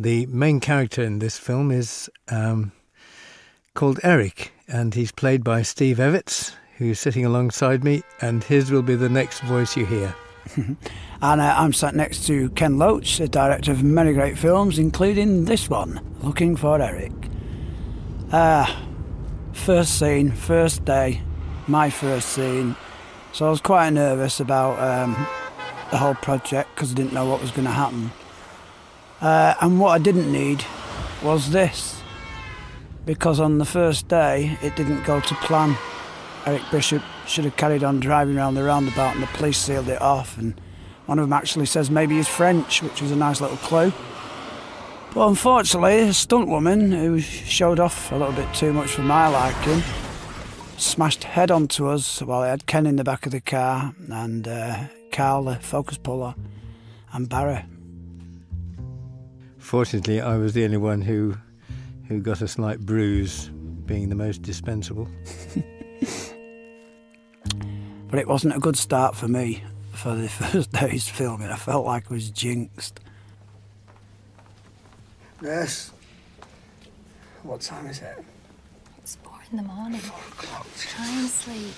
The main character in this film is um, called Eric, and he's played by Steve Evitts, who's sitting alongside me, and his will be the next voice you hear. and uh, I'm sat next to Ken Loach, the director of many great films, including this one, Looking for Eric. Ah, first scene, first day, my first scene. So I was quite nervous about um, the whole project because I didn't know what was going to happen. Uh, and what I didn't need was this, because on the first day it didn't go to plan. Eric Bishop should have carried on driving around the roundabout and the police sealed it off. And one of them actually says maybe he's French, which was a nice little clue. But unfortunately, a stunt woman who showed off a little bit too much for my liking smashed head onto us while I had Ken in the back of the car and uh, Carla, Focus Puller, and Barry. Fortunately, I was the only one who who got a slight bruise, being the most dispensable. but it wasn't a good start for me for the first day's filming. I felt like I was jinxed. Nurse, what time is it? It's four in the morning. Four o'clock. Try and sleep.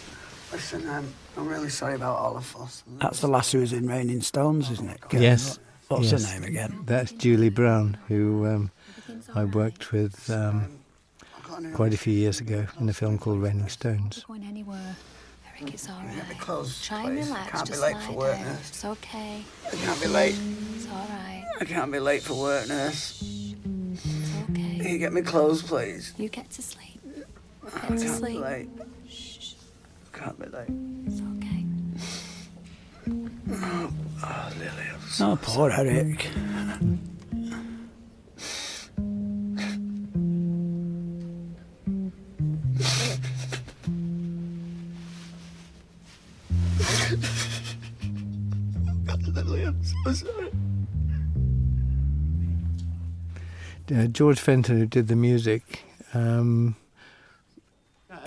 Listen, I'm, really sorry about all of us. That's the lass who was in Raining Stones, isn't it? Yes. What's yes. her name again? That's Julie Brown, who um, I worked with um, quite a few years ago in a film called Raining Stones. Going anywhere. Eric, it's all right. Close, Try and relax. Can't be late for work, down. nurse. It's okay. can't be late. It's all right. I can't be late for work, nurse. It's okay. Can you get me clothes, please? You it's to sleep. Oh, it's to sleep. Shh. I can't be late. It's okay. Oh, oh Lily, i oh, poor sorry. Oh, Lily, I'm so sorry. Uh, George Fenton, who did the music, um,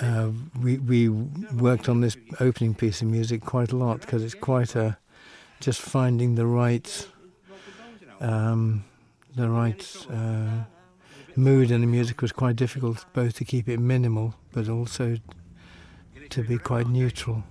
uh, we worked on this opening piece of music quite a lot because it's quite a just finding the right um, the right uh, mood in the music was quite difficult, both to keep it minimal but also to be quite neutral.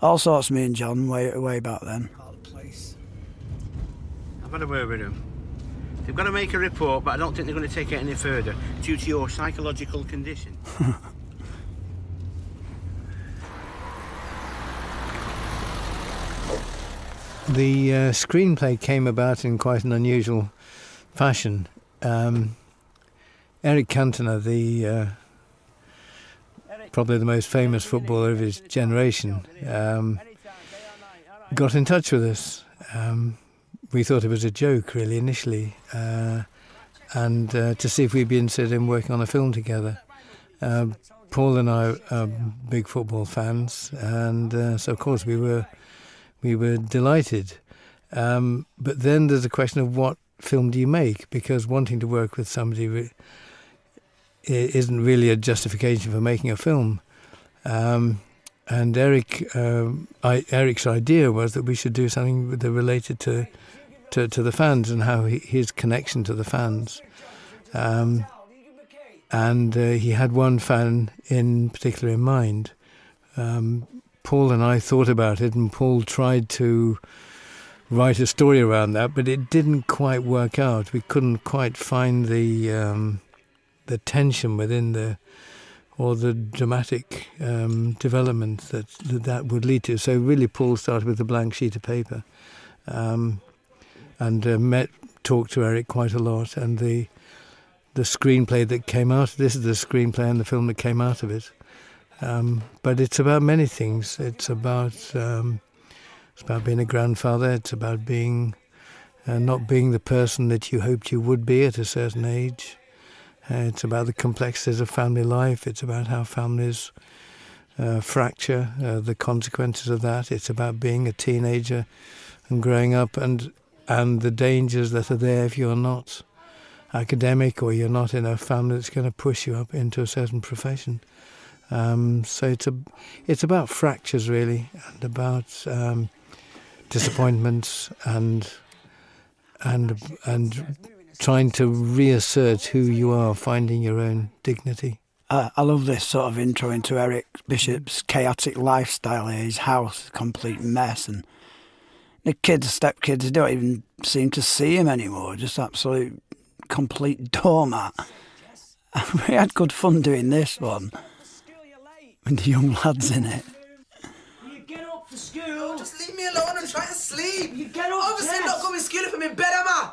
all sorts, me and John, way, back then. I've got to word with them. They've got to make a report, but I don't think they're going to take it any further due to your psychological condition. the uh, screenplay came about in quite an unusual fashion. Um, Eric Cantona, the uh, probably the most famous footballer of his generation, um, got in touch with us. Um, we thought it was a joke, really, initially, uh, and uh, to see if we'd be interested in working on a film together. Um, Paul and I are big football fans, and uh, so of course we were we were delighted. but then there's a question of what film do you make? Because wanting to work with somebody it not really a justification for making a film. Um, and Eric, um, Eric's idea was that we should do something related to, to, the fans and how his connection to the fans. Um, and uh, he had one fan in particular in mind. Paul and I thought about it, and Paul tried to write a story around that, but it didn't quite work out. We couldn't quite find the um, the tension within the or the dramatic um, development that, that, would lead to. So really, Paul started with a blank sheet of paper, um, and uh, met talked to Eric quite a lot, and the the screenplay that came out. This is the screenplay and the film that came out of it. but it's about many things. It's about it's about being a grandfather. It's about being uh, not being the person that you hoped you would be at a certain age. Uh, it's about the complexities of family life. It's about how families uh, fracture, the consequences of that. It's about being a teenager and growing up, and and the dangers that are there if you're not academic or you're not in a family that's going to push you up into a certain profession. Um, so it's a, it's about fractures really, and about um, disappointments and and and trying to reassert who you are, finding your own dignity. I love this sort of intro into Eric Bishop's chaotic lifestyle. Here. His house, complete mess, and the kids, stepkids, don't even seem to see him anymore. Just absolute complete doormat. we had good fun doing this one with the young lads in it. You get up for school. Just leave me alone. and try to sleep. You get up. Obviously, yes. i not going to school if I'm in bed, am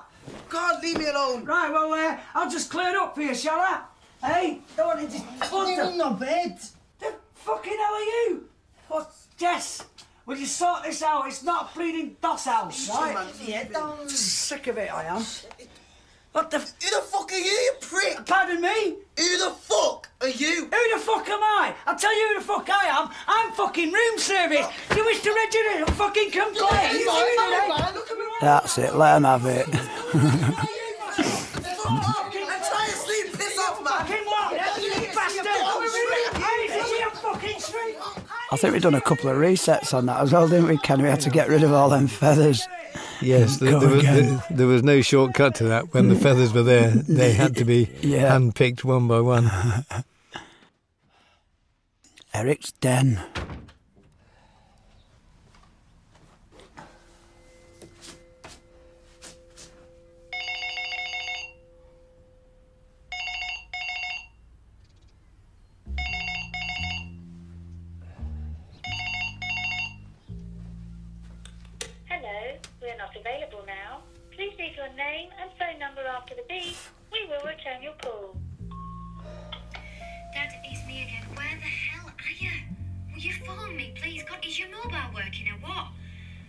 God, leave me alone. Right, well, uh, I'll just clear it up for you, shall I? Hey, don't want to just. You're in the bed. The fucking hell are you? What, Jess? Will you sort this out? It's not bleeding big boss house, right? Yeah, don't... Sick of it, I am. What the... Who the fuck are you, you prick? Uh, pardon me? Who the fuck are you? Who the fuck am I? I'll tell you who the fuck I am. I'm fucking room service. Do oh. you wish to register and fucking complain? Eh? That's it, let him have it. Fucking what? You bastard! Hey, is he a fucking street? I think we have done a couple of resets on that as well, didn't we, Ken? We had to get rid of all them feathers. Yes, there, was, no shortcut to that. When the feathers were there, they had to be yeah. handpicked one by one. Eric's den. Hello, we are not available now. Please leave your name and phone number after the beep. We will return your call. Dad, it's me again. Where the hell are you? Will you phone me, please? God, is your mobile working or what?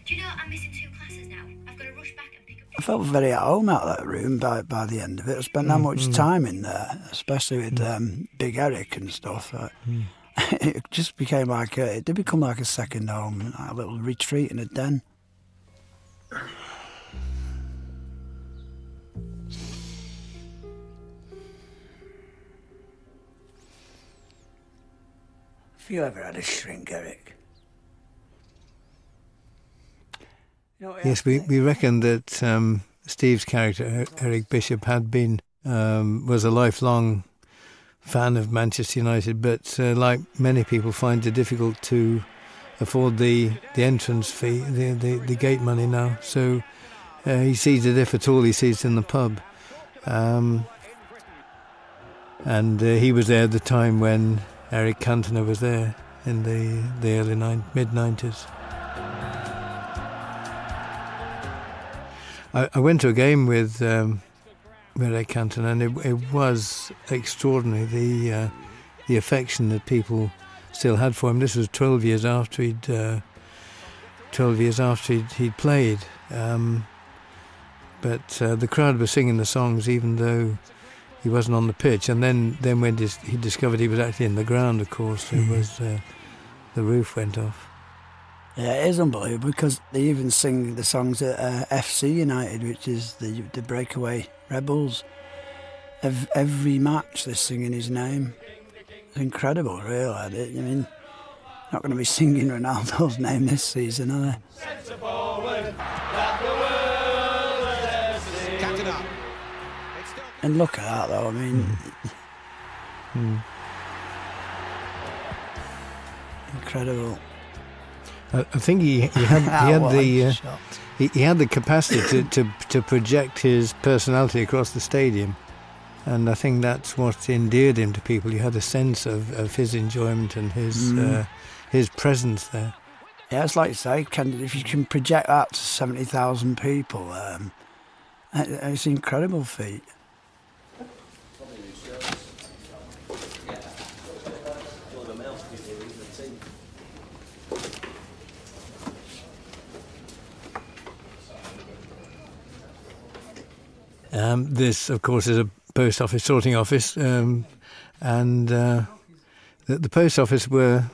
you know I'm missing two classes now? I've got to rush back and pick I felt very at home out of that room by, by the end of it. I spent that much mm-hmm. time in there, especially with mm. um, Big Eric and stuff. Uh, mm. it just became like a, it did become like a second home, a little retreat and a den. Have you ever had a shrink, Eric? Yes, we, we reckon that um, Steve's character, Eric Bishop, had been, um, was a lifelong fan of Manchester United, but uh, like many people, finds it difficult to afford the, the entrance fee, the, the, gate money now. So uh, he sees it, if at all, he sees it in the pub. Um, and uh, he was there at the time when Eric Cantona was there in the, the early mid 90s. I, went to a game with um, Murray Canton and it, was extraordinary the, uh, the affection that people still had for him. This was 12 years after he'd, uh, 12 years after he'd, played. Um, but uh, the crowd were singing the songs even though he wasn't on the pitch. And then, then when he discovered he was actually in the ground, of course, it hmm. was uh, the roof went off. it is unbelievable because they even sing the songs at uh, FC United, which is the the breakaway rebels. Every, match they're singing his name. incredible, really. I mean, not going to be singing Ronaldo's name this season, are they? And look at that, though. I mean, hmm. Hmm. incredible. I, think he, had, the uh, he, had the capacity to, to project his personality across the stadium, and I think that's what endeared him to people. You had a sense of, of his enjoyment and his mm. uh, his presence there uh, yeah, it's like you say, if you can project that to 70,000 people, it's um, an incredible feat. Um, this, of course, is a post office sorting office, um, and uh, the, post office were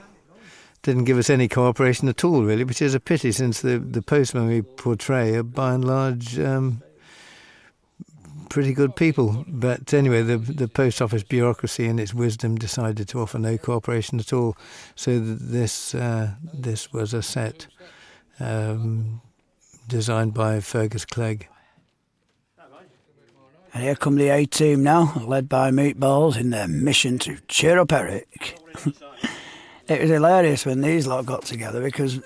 didn't give us any cooperation at all, really, which is a pity since the, the postmen we portray are by and large um, pretty good people. But anyway, the, the post office bureaucracy in its wisdom decided to offer no cooperation at all. So this, uh, this was a set um, designed by Fergus Clegg. And here come the A team now, led by Meatballs in their mission to cheer up Eric. it was hilarious when these lot got together because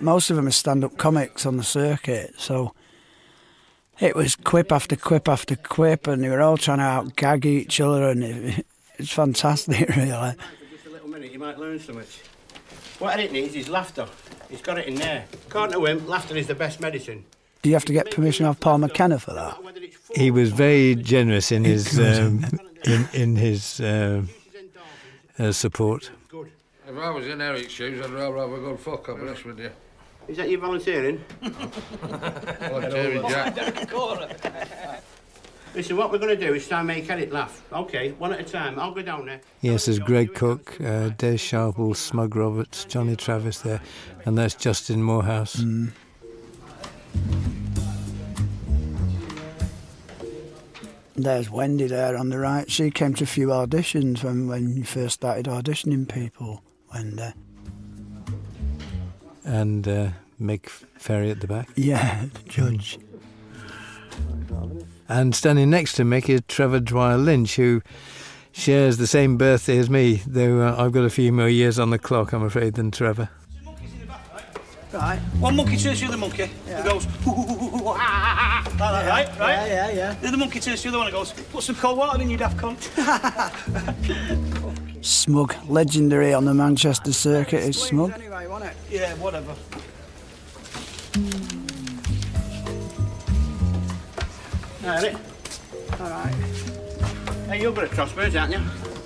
most of them are stand up comics on the circuit. So it was quip after quip after quip, and they were all trying to outgag each other, and it, it's fantastic, really. Just a little minute, you might learn so What it needs is laughter. He's got it in there. Can't to him, laughter is the best medicine. Do you have to get permission off Paul McKenna for that? He was very generous in his um, in, his uh, uh, support. Good. If I was in Eric's shoes, I'd rather have a good fuck up. Honest with you. Is that you volunteering? volunteering, Jack. Listen, what we're going to do is try and make Eric laugh. OK, one at a time. I'll go down there. Yes, there's Greg Cook, uh, Des Sharple, Smug Roberts. Johnny Travis there, and there's Justin Morehouse. Mm. There's Wendy there on the right. She came to a few auditions when, when you first started auditioning people, Wendy. And uh, Mick Ferry at the back? Yeah, the judge. And standing next to Mick is Trevor Dwyer Lynch, who shares the same birthday as me, though uh, I've got a few more years on the clock, I'm afraid, than Trevor. Right. One monkey turns to the other monkey. Yeah. It goes, hoo, hoo, hoo, hoo, ah, ah, ah, ah. Like yeah. that, right? Right? Yeah, yeah, yeah. The other monkey turns to the other one and goes, put some cold water in, you daft cunt. smug. Legendary on the Manchester circuit is Smug. Anyway, wasn't it? Yeah, whatever. All right. All right. Hey, you're but a crossbirds, aren't you?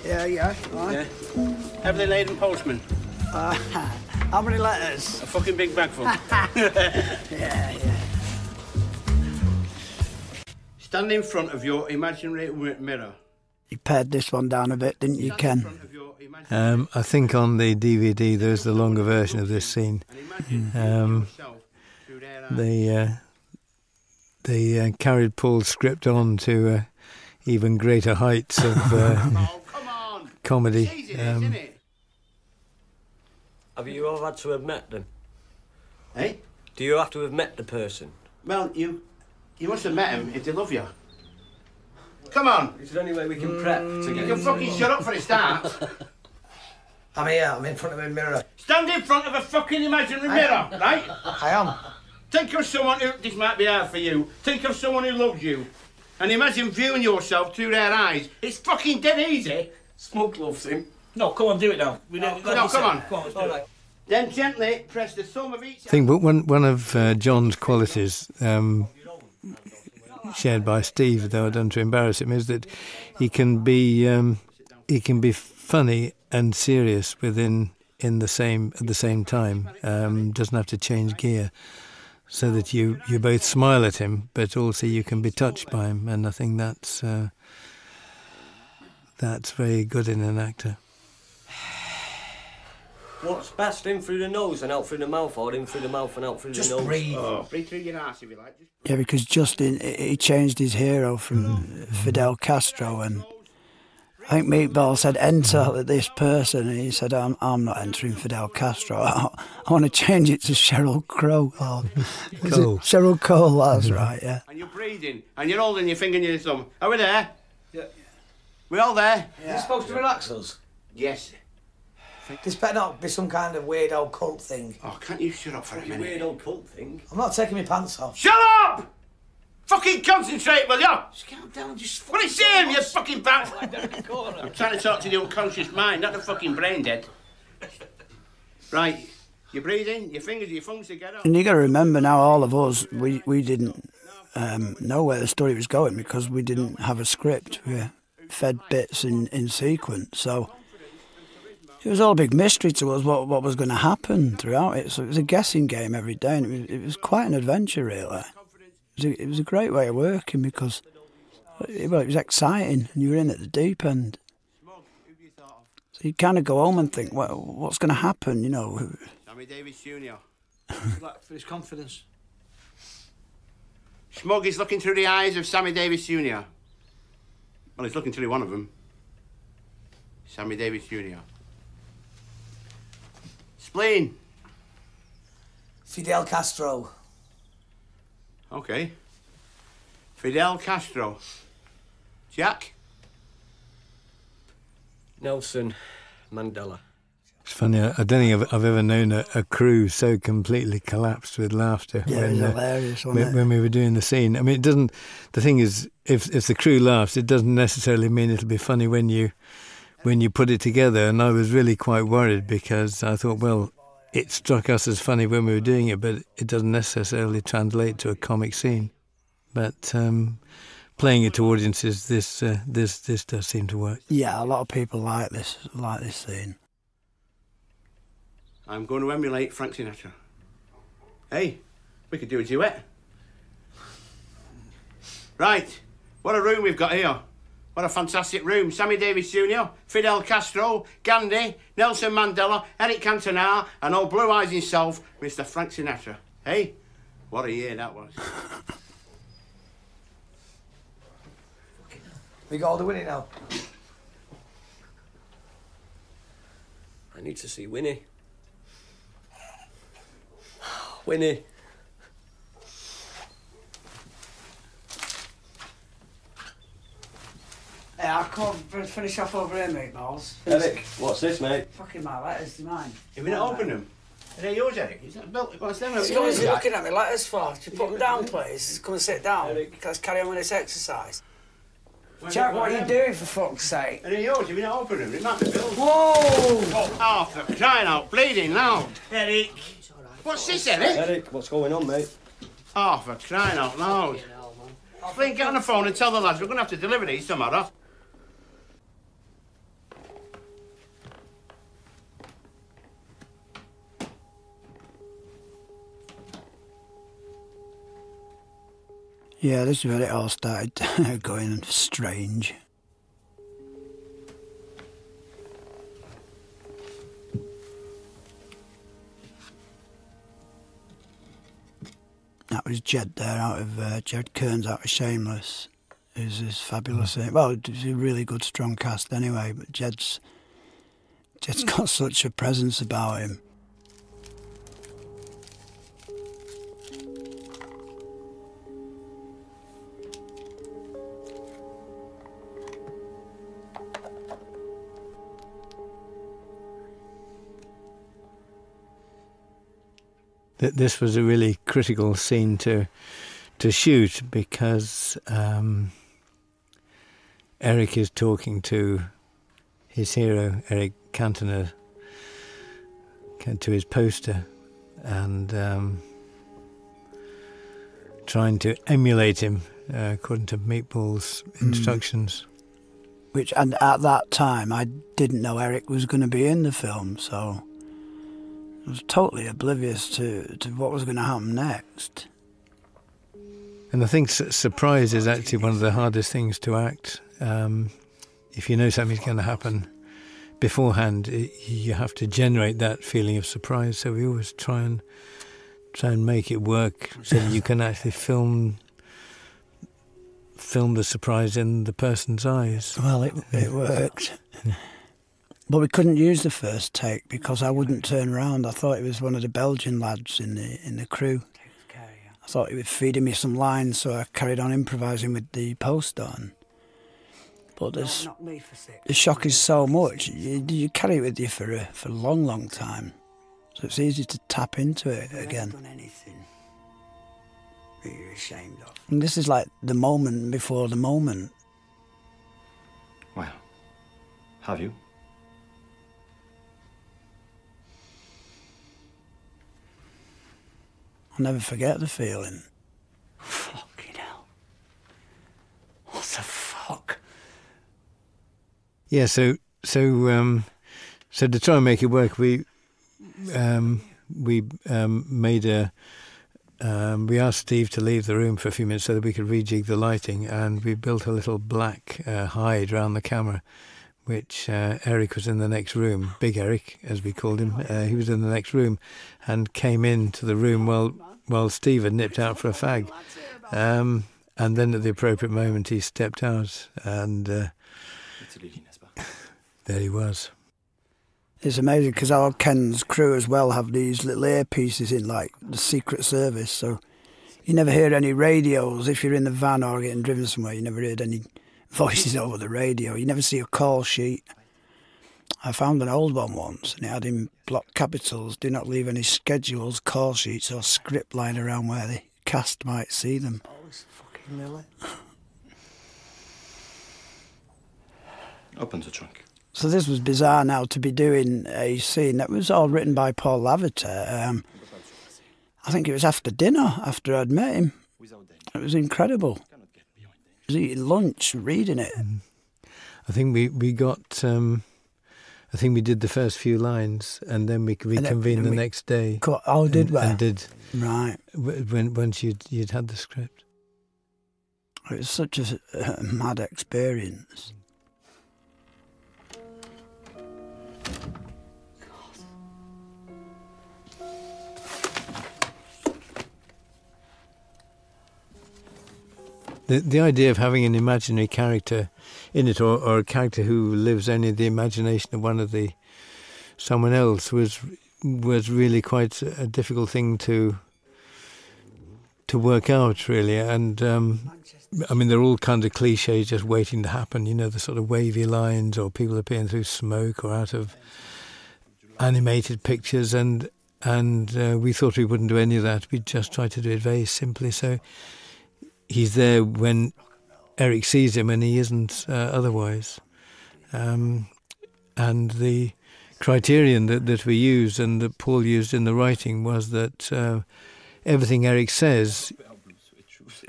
Yeah, yeah, right. Yeah. Heavily laden postman. Uh, how many letters? A fucking big bag full. yeah, yeah. Stand in front of your imaginary mirror. You pared this one down a bit, didn't you, Ken? Um, I think on the DVD there's the longer version of this scene. Um, the uh, they uh, carried Paul's script on to uh, even greater heights of uh, comedy. Um, have you all had to have met them? Eh? Do you have to have met the person? Well, you you must have met him if they love you. Come on. Is there any way we can prep to mm. You can fucking shut up for a start. I'm here, I'm in front of a mirror. Stand in front of a fucking imaginary mirror, right? I am. Think of someone who, this might be hard for you, think of someone who loves you. And imagine viewing yourself through their eyes. It's fucking dead easy. Smug loves him. No, come on, do it now. no, come on. Then gently press the sum of each. I but one, one of uh, John's qualities, um, shared by Steve, though I don't to embarrass him, is that he can be um, he can be funny and serious within in the same at the same time. Um, doesn't have to change gear, so that you you both smile at him, but also you can be touched by him. And I think that's uh, that's very good in an actor. What's best, in through the nose and out through the mouth, or in through the mouth and out through the nose? Just breathe. Oh. Breathe through your nose if you like. Yeah, because Justin he changed his hero from mm. Fidel Castro, and I think Meatball said enter mm. this person, and he said I'm I'm not entering Fidel Castro. I, want to change it to Cheryl Crow. Or, Cole. Cheryl Cole. That's mm-hmm. right. Yeah. And you're breathing, and you're holding your finger near your thumb. Are we there? Yeah. We all there? Yeah. supposed to relax us. Yes. This better not be some kind of weird old cult thing. Oh, can't you shut up for a minute? Weird old cult I'm not taking my pants off. Shut up! Fucking concentrate, will you? Just calm down, just. Well, him, you fucking bat. I'm trying to talk to the unconscious mind, not the fucking brain dead. Right, you breathe in, your fingers, your thumbs together. And you got to remember now, all of us, we, we didn't um, know where the story was going because we didn't have a script. We fed bits in, in sequence. So it was all a big mystery to us what, what was going to happen throughout it. So it was a guessing game every day, and it was, quite an adventure, really. It was, a, great way of working because it, well, it was exciting, and you were in at the deep end. So you kind of go home and think, well, what's going to happen, you know? Sammy Davis Jr. for his confidence. Smug looking through the eyes of Sammy Davis Jr. Well, he's looking to be one of them. Sammy Davis Jr. Spleen. Fidel Castro. Okay. Fidel Castro. Jack? Nelson Mandela. It's funny, I don't think I've, ever known a, crew so completely collapsed with laughter yeah, when, uh, when, we were doing the scene. I mean, it doesn't the thing is, if if the crew laughs, it doesn't necessarily mean it'll be funny when you when you put it together. And I was really quite worried because I thought, well, it struck us as funny when we were doing it, but it doesn't necessarily translate to a comic scene. But um, playing it to audiences, this uh, this this does seem to work. Yeah, a lot of people like this like this scene. I'm going to emulate Frank Sinatra. Hey, we could do a duet. Right, what a room we've got here. What a fantastic room. Sammy Davis Jr., Fidel Castro, Gandhi, Nelson Mandela, Eric Cantona, and old Blue Eyes himself, Mr. Frank Sinatra. Hey, what a year that was. we got all the winning now. I need to see Winnie. Winnie. Hey, I'll come finish off over here, mate, Balls. Eric, what's this, mate? Fucking my letters, do mine? You we not opened them? Are they yours, Eric? Is that built? What's them? So are looking at me like letters for? You put them down, please. Come and sit down. Eric. Let's carry on with this exercise. Jack, what are you doing for fuck's sake? And yours, you've been open him, it might be Bill's. Whoa! Oh, Arthur, crying out, bleeding loud. Eric! What's this, Eric? Eric, what's going on, mate? Arthur, crying out loud. Flynn, get on the phone and tell the lads we're going to have to deliver these tomorrow. Yeah, this is where it all started going strange. That was Jed there, out of uh, Jed Kearns, out of Shameless. Who's this fabulous? Mm. Well, it's a really good, strong cast anyway. But Jed's Jed's got such a presence about him that this was a really critical scene to to shoot because um, Eric is talking to his hero, Eric Cantona, to his poster and um, trying to emulate him uh, according to Meatball's hmm. instructions. Which, and at that time, I didn't know Eric was going to be in the film, so I was totally oblivious to, to what was going to happen next. And I think surprise is actually one of the hardest things to act. Um, if you know something's going to happen beforehand, you have to generate that feeling of surprise. So we always try and try and make it work so that you can actually film film the surprise in the person's eyes. Well, it, it worked. but we couldn't use the first take because I wouldn't turn round. I thought it was one of the Belgian lads in the in the crew. I thought he was feeding me some lines, so I carried on improvising with the post on. But this, the shock is so much, you, you, carry it with you for a, for a long, long time. So it's easy to tap into it again. And this is like the moment before the moment. Well, have you? I'll never forget the feeling. Fucking hell. What the fuck? Yeah, so so um, so to try and make it work we um, we um, made a we asked Steve to leave the room for a few minutes so that we could rejig the lighting, and we built a little black uh, hide around the camera, which uh, Eric was in the next room, Big Eric, as we called him. Uh, he was in the next room and came into the room while, while Steve had nipped out for a fag. Um, and then at the appropriate moment, he stepped out and uh, there he was. It's amazing because our Ken's crew as well have these little earpieces in, like the Secret Service. So you never hear any radios if you're in the van or getting driven somewhere. You never hear any voices over the radio. You never see a call sheet. I found an old one once and it had in block capitals, do not leave any schedules, call sheets or script lying around where the cast might see them. Always oh, fucking Lily. Open the trunk. So this was bizarre now to be doing a scene that was all written by Paul Lavater. Um, I think it was after dinner, after I'd met him. It was incredible. was eating lunch, reading it. Mm. I think we, we got, um, I think we did the first few lines and then we convened the next day. Co- oh, did and, we? Right. once you'd, had the script. It was such a mad experience. The, idea of having an imaginary character in it or, a character who lives only in the imagination of one of the someone else was was really quite a difficult thing to to work out really and um, I mean, they're all kind of cliches, just waiting to happen. You know, the sort of wavy lines or people appearing through smoke or out of animated pictures. And and uh, we thought we wouldn't do any of that. We just tried to do it very simply. So he's there when Eric sees him, and he isn't uh, otherwise. Um, and the criterion that, that we used and that Paul used in the writing was that uh, everything Eric says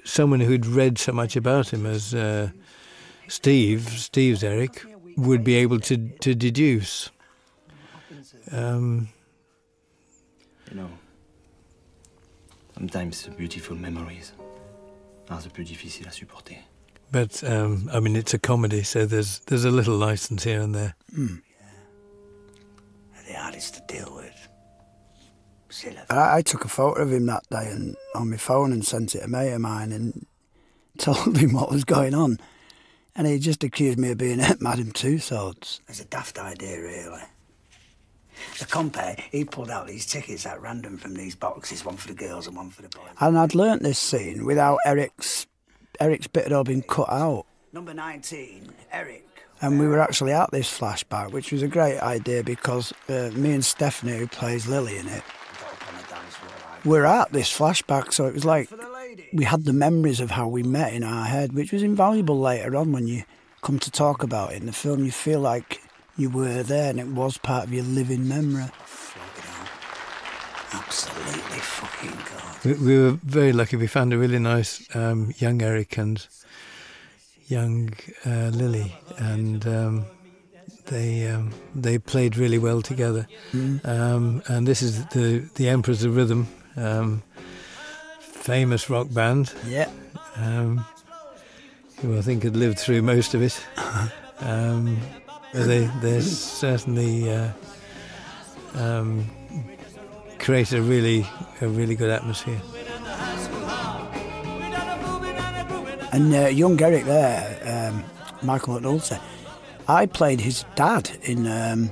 someone who'd read so much about him as uh, Steve, Steve's Eric, would be able to, deduce. Um, you know, sometimes the beautiful memories are the most difficult to support. But um, I mean, it's a comedy, so there's there's a little license here and there. Hmm. Yeah. the hardest to deal with. I, took a photo of him that day and on my phone and sent it to a mate of mine and told him what was going on. And he just accused me of being madam two Tussauds. It's a daft idea, really. The compere, he pulled out these tickets at random from these boxes, one for the girls and one for the boys. And I'd learnt this scene without Eric's Eric's bit had all been cut out. Number 19, Eric and we were actually at this flashback, which was a great idea because uh, me and Stephanie, who plays Lily in it, we're at this flashback, so it was like we had the memories of how we met in our head, which was invaluable later on when you come to talk about it in the film. You feel like you were there and it was part of your living memory. Absolutely fucking God. We, were very lucky. We found a really nice um, young Eric and young uh, Lily, and um, they um, they played really well together. Mm-hmm. Um, and this is the the Emperors of Rhythm, famous rock band. Yeah. who I think had lived through most of it. Uh-huh. they they certainly uh, create a really a really good atmosphere. And uh, young Eric there, um, Michael McNulty, I played his dad in um,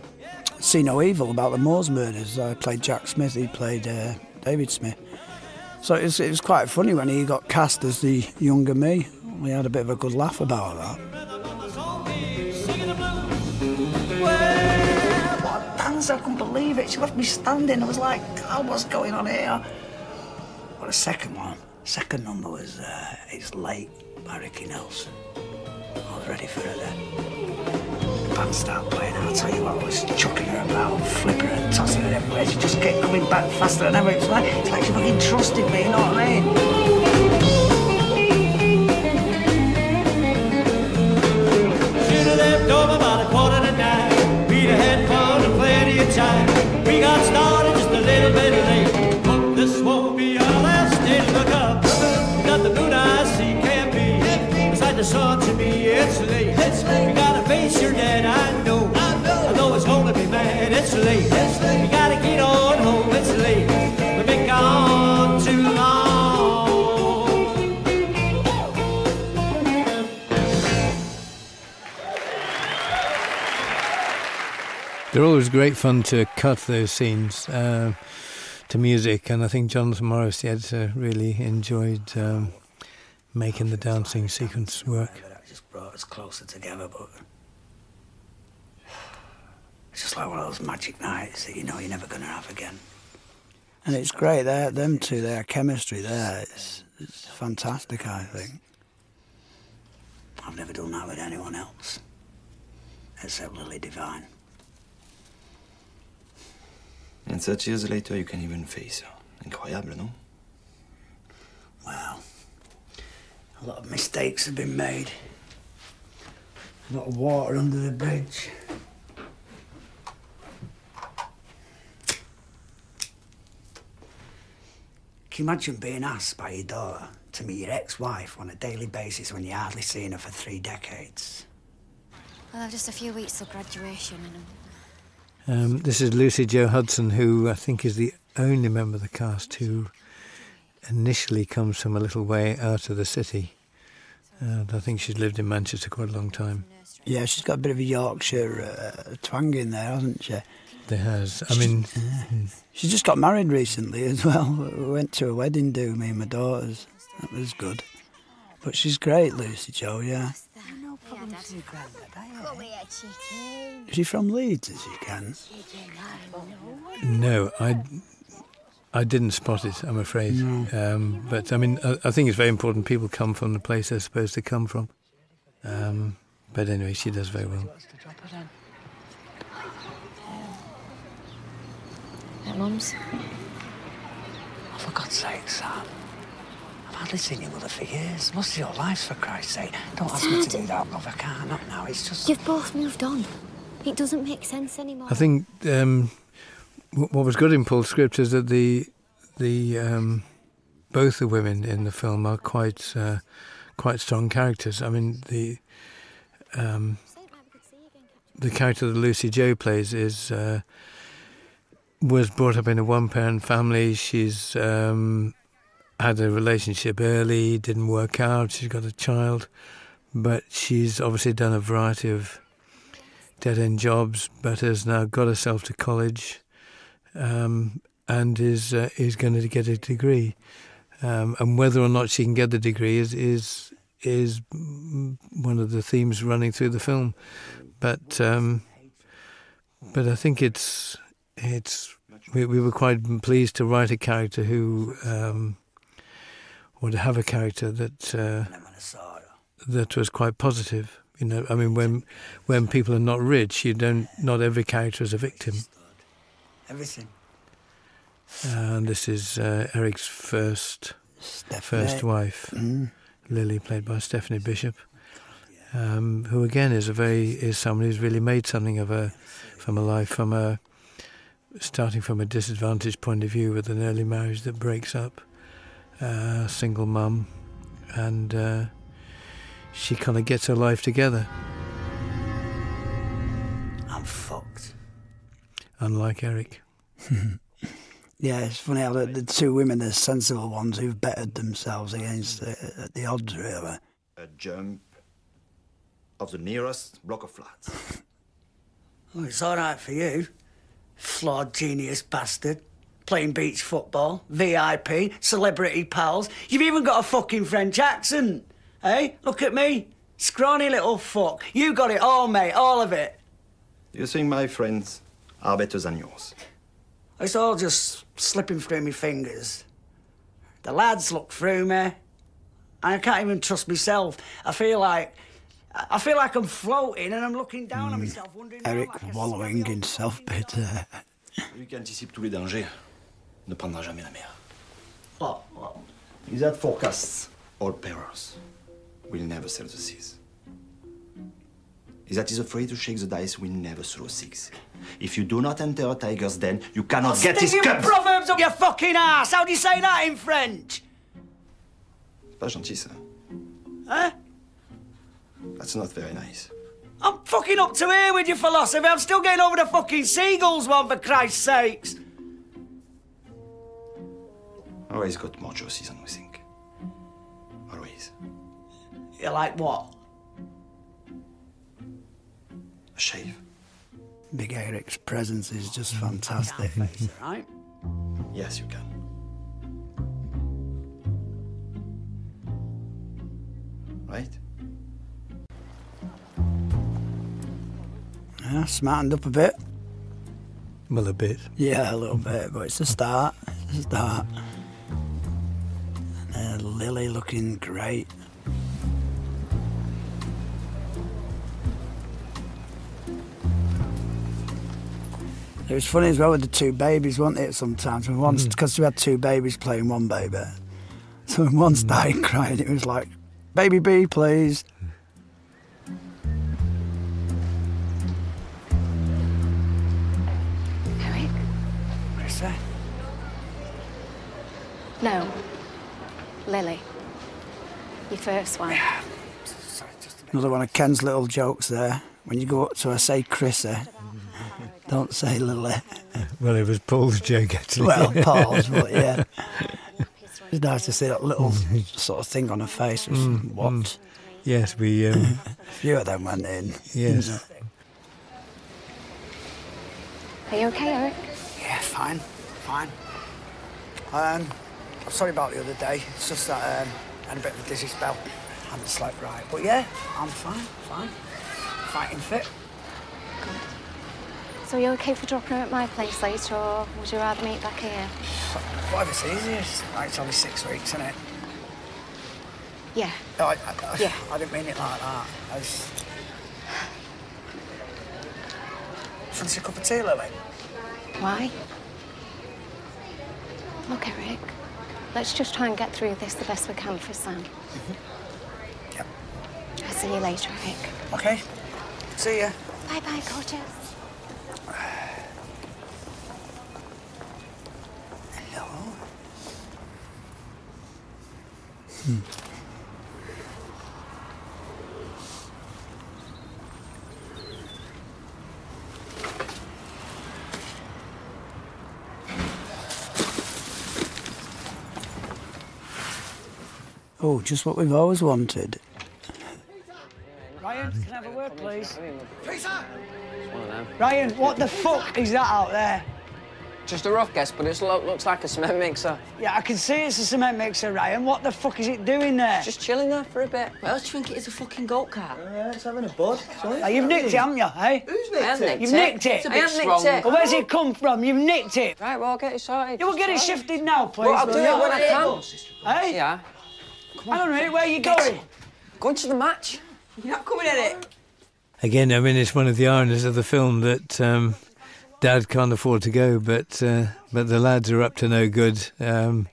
See No Evil about the Moors murders. I played Jack Smith, he played uh, David Smith. So it was, quite funny when he got cast as the younger me. We had a bit of a good laugh about that. I couldn't believe it. She left me standing. I was like, God, what's going on here? Well, the second one, second number was uh, It's Late by Ricky Nelson. I was ready for it then. The band started playing, I'll tell you what, I was chucking her about, flipping and tossing her everywhere. She just kept coming back faster and ever. It's it's like she fucking trusted me, you know what I mean? Should have left home about a quarter to nine. We'd have had plenty of time. We got started just a little bit late. this won't be our last day look up. Not the I see can be. It's the sun to me, it's late. We gotta face your dad, I know. I know. Although it's gonna be mad, it's late. It's late. We gotta get on home, it's late. We've been gone too long. They're always great fun to cut those scenes uh, to music, and I think Jonathan Morris, the editor, really enjoyed um, making the dancing sequence work. just brought us closer together, but it's just like one of those magic nights that you know you're never going to have again and it's great. They're, them two, their chemistry there, it's, it's fantastic. I think I've never done that with anyone else except Lily divine. And such years later, you can even face her. incredible. no? Well, a lot of mistakes have been made. A lot of water under the bridge. Can you imagine being asked by your daughter to meet your ex-wife on a daily basis when you're hardly seen her for three decades? Well, I've just a few weeks till graduation um, this is Lucy Joe Hudson, who I think is the only member of the cast who initially comes from a little way out of the city. I think she's lived in Manchester quite a long time. Yeah, she's got a bit of a Yorkshire uh, twang in there, hasn't she? There has. I mean, she just got married recently as well. We went to a wedding do me and my daughters. That was good. But she's great, Lucy Joe. Yeah. Is she from Leeds? as you can? No, I, I didn't spot it. Phrase, um, but I mean, I, think it's very important people come from the place they're supposed to come from. Um, but anyway, she does very well. At mum's? Oh, for God's sake, Sam. I've hardly seen your mother for years. Most of your life, for Christ's sake. Don't ask me to do that, love. I can't. Not now. It's just. You've both moved on. It doesn't make sense anymore. I think um, what was good in Paul's script is that the the um, both the women in the film are quite uh, quite strong characters. I mean the um, the character that Lucy Joe plays is uh, was brought up in a one parent family. She's um, had a relationship early, didn't work out. She's got a child, but she's obviously done a variety of dead end jobs, but has now got herself to college um, and is uh, is going to get a degree. Um, and whether or not she can get the degree is is one of the themes running through the film. But um, but I think it's it's we, were quite pleased to write a character who would have a character that. Uh, that was quite positive. You know, I mean, when when people are not rich, you don't not every character is a victim. Everything. And this is uh, Eric's first first wife, mm-hmm. Lily, played by Stephanie Bishop, um, who again is a very is someone who's really made something of a from a life from a starting from a disadvantaged point of view with an early marriage that breaks up up, single mum, and uh, she kind of gets her life together. I'm fucked. Unlike Eric. yeah, it's funny how the, two women the sensible ones who've bettered themselves against the, odds, really. A jump of the nearest block of flats. well, it's all right for you. Flawed genius bastard. Playing beach football, VIP, celebrity pals. You've even got a fucking French accent. Hey, eh? look at me. Scrawny little fuck. You got it all, mate, all of it. You think my friends are better than yours? It's all just slipping through my fingers. The lads look through me. I can't even trust myself. I feel like I feel like I'm floating and I'm looking down mm. on hmm. myself, wondering. Eric like wallowing in self-pity. Celui qui anticipe tous les dangers ne prendra jamais ah, ah. is that forecasts or perils will never sail the seas. Is that he's afraid to shake the dice will never throw six. If you do not enter a tiger's den, you cannot get his cup. proverbs up your fucking ass. How do you say that in French? pas gentil, ça. Hein? That's not very nice. I'm fucking up to here with your philosophy. I'm still getting over the fucking seagulls one, for Christ's sakes. Always got more mojo than we think. Always. You like what? A shave. Big Eric's presence is just fantastic. right? Yes, you can. Right? Yeah, smartened up a bit. Well, a bit. Yeah, a little bit, but it's the start. It's a start. And, uh, Lily looking great. It was funny as well with the two babies, wasn't it? Sometimes because mm. we had two babies playing one baby, so when one started mm. crying, it was like, "Baby B, please." Eric, Marissa. No, Lily, your first one. Another one of Ken's little jokes there. When you go up to her, say Chris. Don't say Lily. Well, it was Paul's joke, Well, Paul's, but yeah. It's nice to see that little sort of thing on her face. Mm, mm. what? Yes, we. Um, a few of them went in. Yes. Are you okay, Eric? Yeah, fine, fine. Um, sorry about the other day. It's just that um, had a bit of a dizzy spell. Haven't slept right. But yeah, I'm fine, fine. Fighting fit. So you're okay for dropping her at my place later, or would you rather meet back here? Whatever's easiest. Like, it's only six weeks, isn't it? Yeah. I, yeah. I didn't mean it like that. I just... a cup of tea, Lily? Why? Okay, Eric, let's just try and get through this the best we can for Sam. Mm-hmm. Yep. I'll see you later, Eric. Okay. See ya. Bye-bye, gorgeous. Hello? Hmm. Oh, just what we've always wanted. Ryan, can I have a word, please? Peter! Ryan, what the fuck is that out there? Just a rough guess, but it looks like a cement mixer. Yeah, I can see it's a cement mixer, Ryan. What the fuck is it doing there? Just chilling there for a bit it. What else do you think it is, a fucking golf cart? Yeah, uh, it's having a bud. you've nicked it, haven't you, eh? Who's nicked it? You've nicked it. It's a bit strong. Nicked Where's it come from? You've nicked it. Right, well, I'll get it sorted. You will get it shifted now, please. I'll do that when I can. Hey? Yeah. Come on. Hang where are you going? Going to the match. You're not coming at it. Again, I mean, it's one of the ironies of the film that um, Dad can't afford to go, but uh, but the lads are up to no good. Um,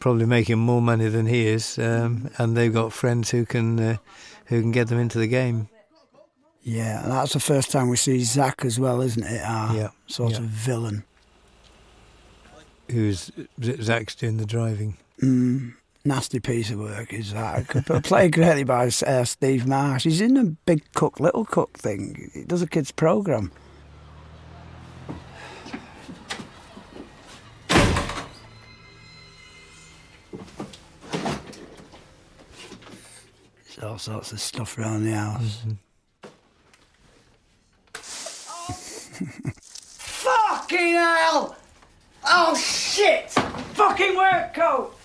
probably making more money than he is, um, mm-hmm. and they've got friends who can uh, who can get them into the game. Yeah, that's the first time we see Zach as well, isn't it? Ah, yeah, sort of villain. Who's Zach's doing the driving? Mm, nasty piece of work is Zach. played greatly by uh, Steve Marsh. He's in a big cook, little cook thing. He does a kids' program. There's all sorts of stuff around the house. oh. Fucking hell! Oh shit! Fucking work coat!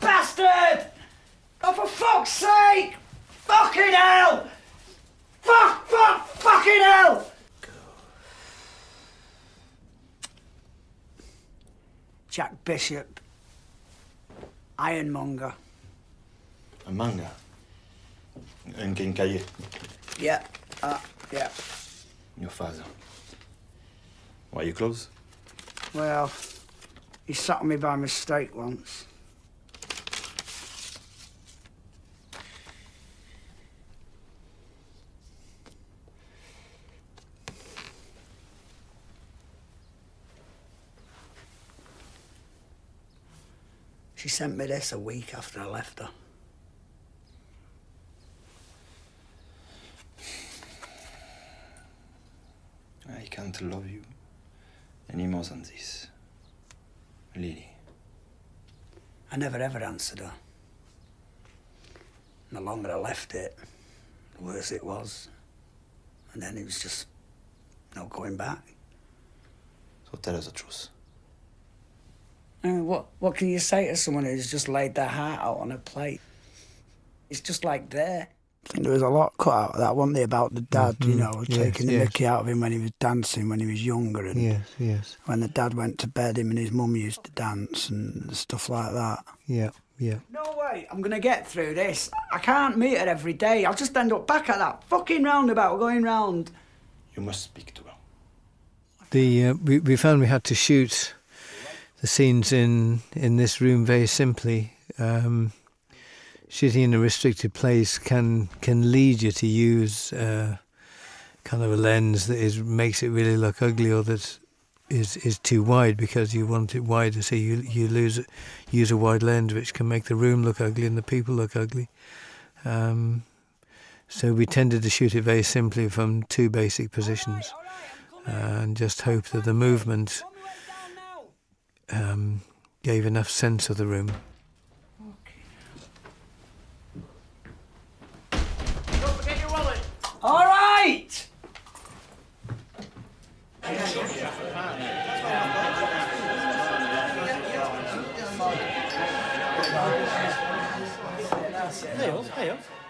Bastard! Oh, for fuck's sake! Fucking hell! Fuck, fuck, fucking hell! Jack Bishop, Ironmonger. A manga? Un quincailler? Yeah, uh, yeah. Your father. Why are you close? Well, he sacked me by mistake once. She sent me this a week after I left her. I can't love you any more than this. Lily. I never ever answered her. the longer I left it, the worse it was. And then it was just no going back. So tell us the truth. Uh, what, what can you say to someone who's just laid their heart out on a plate? It's just like there. I think there was a lot cut out of that, one not there, about the dad, you mm-hmm. know, taking the mickey out of him when he was dancing when he was younger, and yes, when the dad went to bed, him and his mum used to dance and stuff like that. Yeah, yeah. No way, I'm gonna get through this. I can't meet her every day. I'll just end up back at that fucking roundabout going round. You must speak to her. The uh, we, we found we had to shoot the scenes in in this room very simply. Um, Sitting in a restricted place can can lead you to use. Uh, kind of a lens that is makes it really look ugly or that is is too wide because you want it wider so you you lose use a wide lens which can make the room look ugly and the people look ugly um, so we tended to shoot it very simply from two basic positions uh, and just hope that the movement um, gave enough sense of the room all right.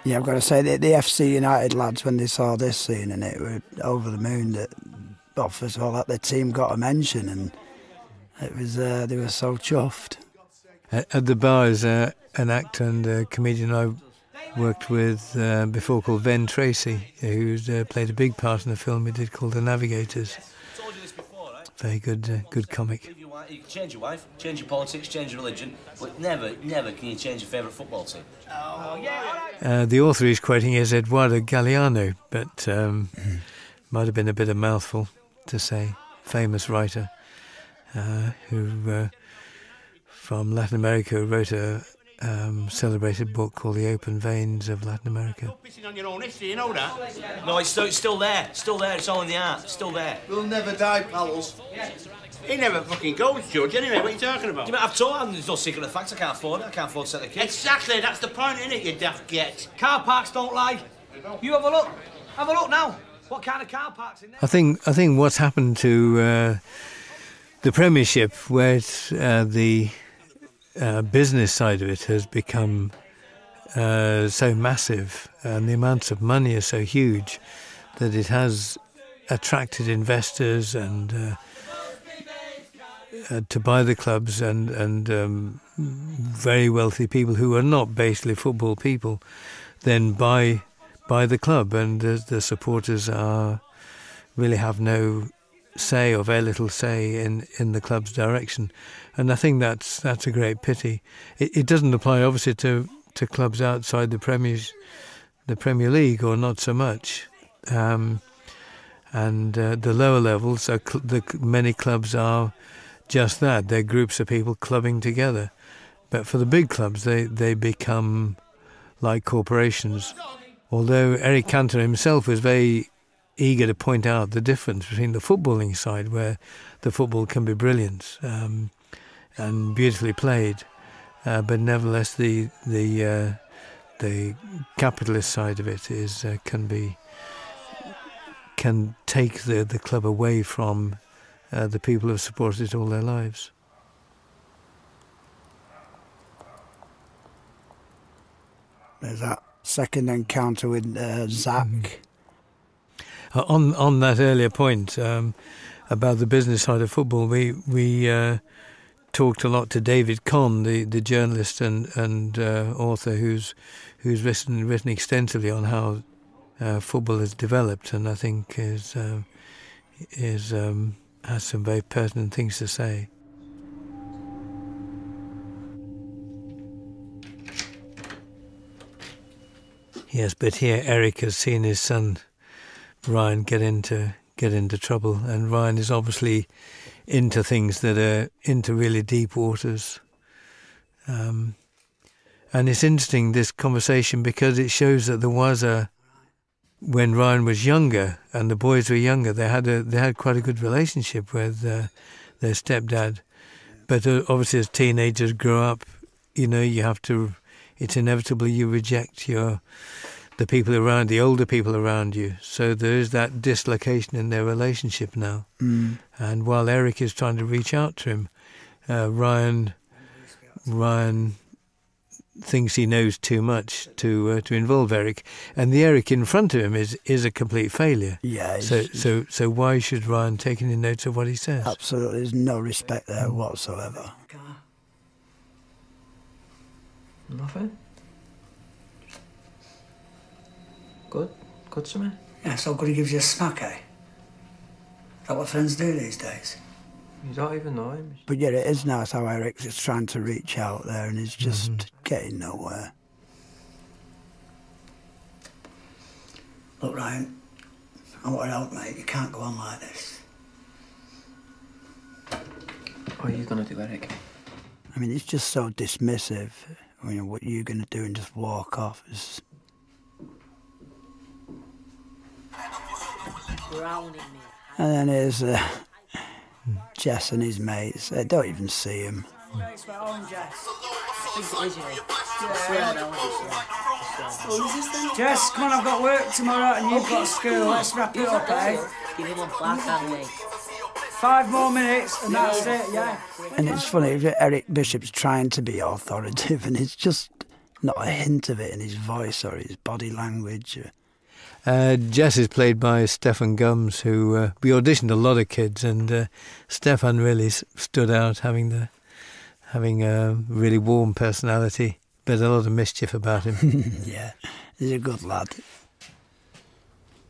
Yeah, I've got to say that the FC United lads, when they saw this scene and it, were over the moon that, well, first of all, that their team got a mention and it was uh, they were so chuffed. At, the bar is uh, an actor and comedian I worked with uh, before called Ben Tracy, who uh, played a big part in a film we did called The Navigators. Very good, good comic. You change your wife, change your politics, change your religion, but never, never can you change your favourite football team. Oh, the author he's quoting is Eduardo Galeano, but um, might have been a bit of a mouthful to say, famous writer uh, who, uh, from Latin America, wrote a um, celebrated book called The Open Veins of Latin America. you know that? No, it's still, there. still there. It's all in the art. still there. We'll never die, pals. He never fucking goes, George. anyway. What are you talking about? I've told him there's no secret of the fact. I can't afford it. I can't afford to set the kids. Exactly. That's the point, isn't it, you daft get? Car parks don't lie. You have a look. Have a look now. What kind of car parks in there? I think I think what's happened to uh, the Premiership, where uh, the uh, business side of it has become so massive, and the amounts of money are so huge that it has attracted investors and to buy the clubs and and um, very wealthy people who are not basically football people then buy by the club, and the, supporters are really have no say or very little say in, in the club's direction, and I think that's that's a great pity. It, doesn't apply obviously to, to clubs outside the Premier's the Premier League or not so much, um, and uh, the lower levels. So many clubs are just that. They're groups of people clubbing together. But for the big clubs, they, they become like corporations. Although Eric Cantor himself was very eager to point out the difference between the footballing side, where the football can be brilliant um, and beautifully played, uh, but nevertheless the the uh, the capitalist side of it is uh, can be can take the, the club away from uh, the people who have supported it all their lives. There's that second encounter with uh, Zach. Mm-hmm. Uh, on on that earlier point um, about the business side of football, we we talked a lot to David Conn, the, the journalist and and author who's who's written written extensively on how uh, football has developed, and I think is um, is um, has some very pertinent things to say. Yes, but here Eric has seen his son Ryan get into get into trouble, and Ryan is obviously into things that are into really deep waters. Um, and it's interesting, this conversation, because it shows that there was when Ryan was younger and the boys were younger, they had a, they had quite a good relationship with uh, their stepdad. But uh, obviously, as teenagers grow up, you know, you have to, it's inevitable you reject your, the people around, the older people around you. So there is that dislocation in their relationship now. Mm. And while Eric is trying to reach out to him, uh, Ryan Ryan thinks he knows too much to uh, to involve Eric, and the Eric in front of him is is a complete failure. Yeah. So so so why should Ryan take any notes of what he says? Absolutely, there's no respect there whatsoever. Nothing. Good? Good to me? Yeah, so good he gives you a smack, eh? Is that what friends do these days? You don't even know him. But yet it is nice how Eric's is trying to reach out there and he's just mm-hmm. getting nowhere. Look, Ryan, I want to help, mate. You can't go on like this. What are you going to do, Eric? I mean, it's just so dismissive you know, what you going to do and just walk off And then there's uh, Jess and his mates. They don't even see him. Jess, come on, I've got work tomorrow and you've got school. Let's wrap it up, eh? Five more minutes and that's it, yeah. And it's funny, Eric Bishop's trying to be authoritative, and it's just not a hint of it in his voice or his body language. Uh, Jess is played by Stefan Gums, who uh, we auditioned a lot of kids, and uh, Stefan really stood out, having a really warm personality, but a lot of mischief about him. yeah, he's a good lad.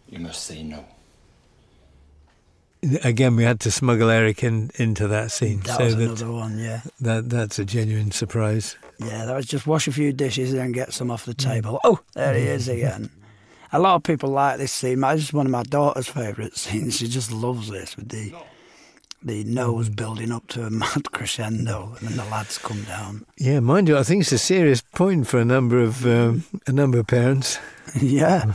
You must say no again, we had to smuggle Eric in into that scene. That so was another one, yeah. That that's a genuine surprise. Yeah, that was just wash a few dishes and get some off the mm. table. Oh, there he is again. A lot of people like this scene. It's one of my daughter's favourite scenes. She just loves this with the the nose mm. building up to a mad crescendo, and then the lads come down. Yeah, mind you, I think it's a serious point for a number of um, a number of parents. yeah. Mm.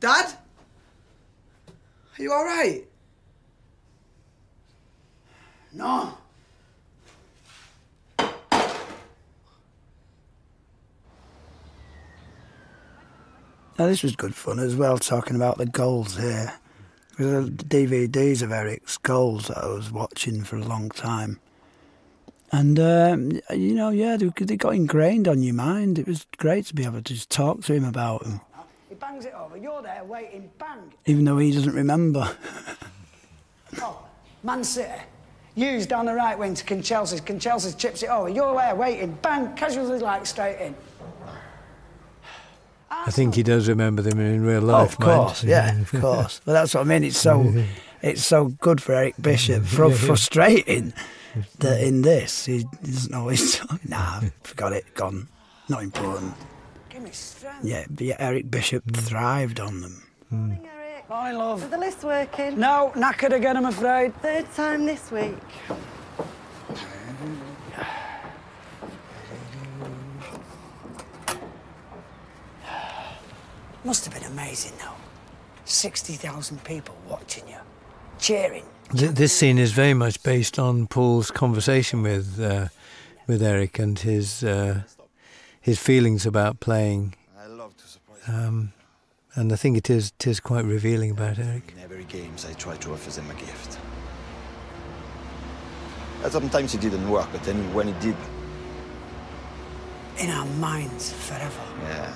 Dad? Are you all right? No. Now, this was good fun as well, talking about the goals here the DVDs of Eric's goals that I was watching for a long time. And, um, you know, yeah, they, got ingrained on your mind. It was great to be able to just talk to him about them. He bangs it over, you're there waiting, bang. Even though he doesn't remember. oh, Man City. used down the right wing to Conchelsea's. Conchelsea's chips it over. You're there waiting. Bang. Casualties like straight in. I think he does remember them in real life. of course, yeah, of course. But that's what I mean. It's so, it's so good for Eric Bishop. frustrating that in this he doesn't always. nah, forgot it. Gone. Not important. Yeah, yeah, Eric Bishop hmm. thrived on them. Mm. My love. Is the list working? No, knackered again, I'm afraid. Third time this week. Must have been amazing, though. 60,000 people watching you, cheering. this scene is very much based on Paul's conversation with uh, with Eric and his uh, his feelings about playing. I love to surprise um, and I think it is, it is quite revealing about Eric. In every games, I try to offer them a gift. And sometimes it didn't work, but then when it did... In our minds forever. Yeah.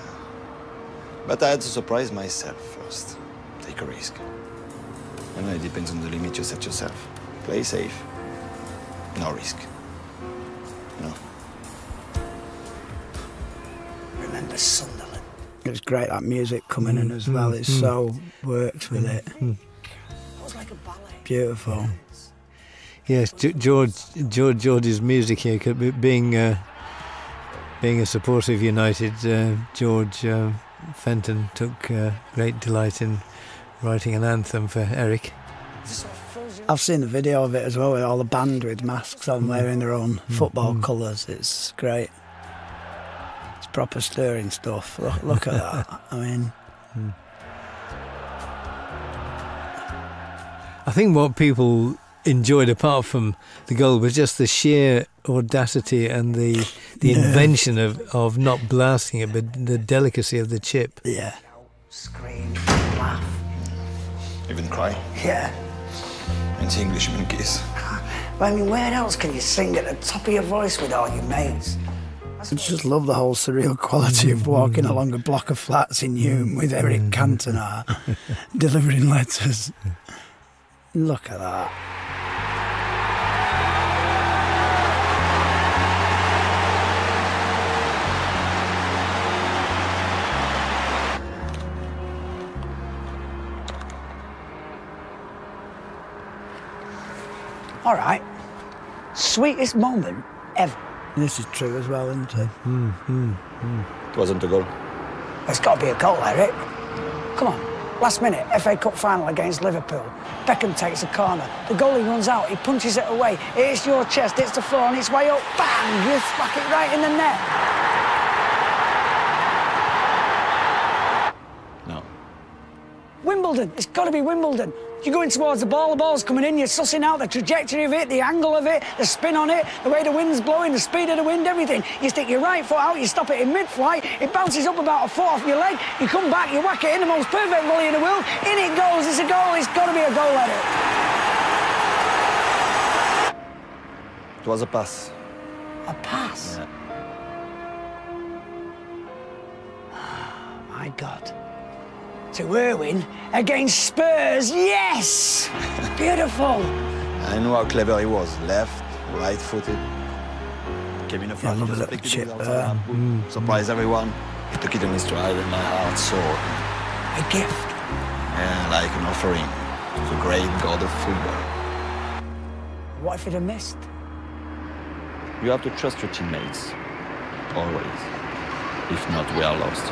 But I had to surprise myself first. Take a risk. I know, it depends on the limit you set yourself. Play safe. No risk. No. Remember Sunderland? It was great, that music coming in as well. It mm-hmm. so works with it. Mm-hmm. Mm. Beautiful. Yes, George, George, George's music here being uh, being a supportive United. Uh, George uh, Fenton took great delight in writing an anthem for Eric. I've seen the video of it as well with all the band with masks on, mm-hmm. wearing their own football colours. It's great. It's proper stirring stuff. Look, at that. I mean. Hmm. I think what people enjoyed apart from the goal was just the sheer audacity and the the invention of, of not blasting it but the delicacy of the chip. Yeah. Scream, Even cry? Yeah. Into English monkeys. I mean where else can you sing it? top of your voice with all your mates. I just love the whole surreal quality of walking mm. along a block of flats in Hume with Eric mm. Cantona delivering letters. Look at that. All right. Sweetest moment ever. This is true as well, isn't it? Hmm, hmm, hmm. It wasn't a goal. It's got to be a goal, Eric. Come on. Last minute, FA Cup final against Liverpool. Beckham takes a corner. The goalie runs out. He punches it away. hits your chest. Hits the floor on its way up. Bang! You smack it right in the net. No. Wimbledon. It's got to be Wimbledon. You're going towards the ball, the ball's coming in, you're sussing out the trajectory of it, the angle of it, the spin on it, the way the wind's blowing, the speed of the wind, everything. You stick your right foot out, you stop it in mid-flight, it bounces up about a foot off your leg, you come back, you whack it in, the most perfect volley in the world, in it goes, it's a goal, it's got to be a goal at it. It was a pass. A pass? my God. To Erwin against Spurs, yes! Beautiful. I know how clever he was. Left, right footed. Came in a front, yeah, I love that chip. Uh, mm, mm. Surprised everyone. He took it on his stride and my heart soared. A gift. like an offering to the great god of football. What if it had missed? You have to trust your teammates. Always. If not, we are lost.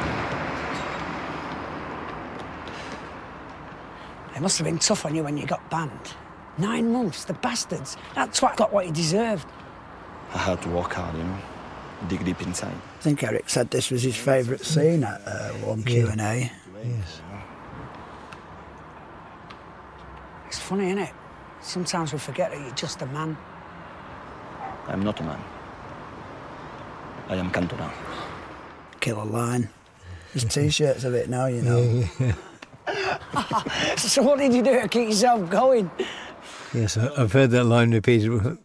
They must have been tough on you when you got banned. Nine months, the bastards. That's what got what you deserved. I had to work hard, you know. Dig deep inside. I think Eric said this was his favourite scene at uh, one Q&A. Yes. It's funny, isn't it? Sometimes we forget that you're just a man. I'm not a man. I am Cantona. Killer line. There's t-shirts of it now, you know. so what did you do to keep yourself going? Yes, I've heard that line repeated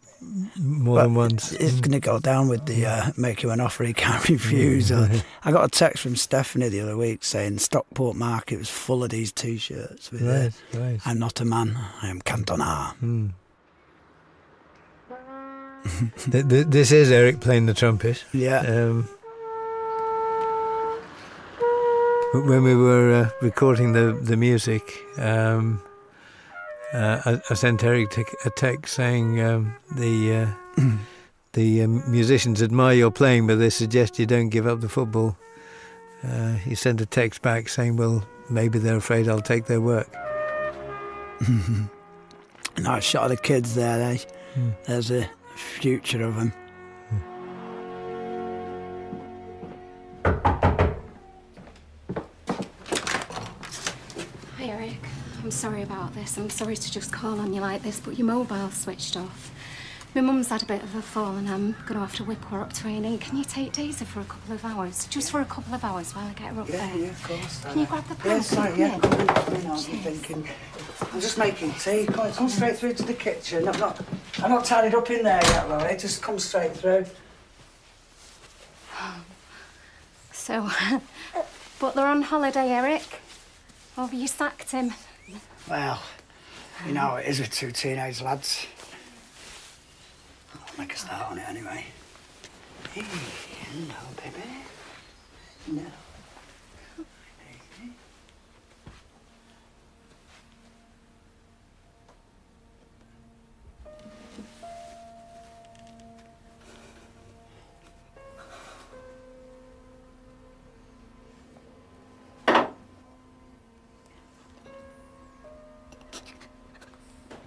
more than once. It's going to go down with the uh, make you an offer he can't refuse, I got a text from Stephanie the other week saying Stockport Market was full of these T-shirts with "I'm not a man, I am Cantonar." Hmm. this is Eric playing the trumpet. Yeah. Um, when we were uh, recording the music, um, uh, I, sent Eric a text saying um, the. Uh, the um, musicians admire your playing, but they suggest you don't give up the football. Uh, he sent a text back saying, Well, maybe they're afraid I'll take their work. no, shot the kids there. Hmm. There's a future of them. Hi, Eric. I'm sorry about this. I'm sorry to just call on you like this, but your mobile switched off. My mum's had a bit of a fall and I'm going to have to whip her up to a Can you take Daisy for a couple of hours? Just for a couple of hours while I get her up there. Yeah, of course. Can you grab the pan? Yes, sorry, yeah. I'm thinking. I'm just making tea. Come, come straight through to the kitchen. I'm not, I'm not tidied up in there yet, Laurie. Just come straight through. So, but they're on holiday, Eric. Over oh, you sacked him. Well, you know it is with two teenage lads. I'll make a start on it anyway. Hey, baby. No.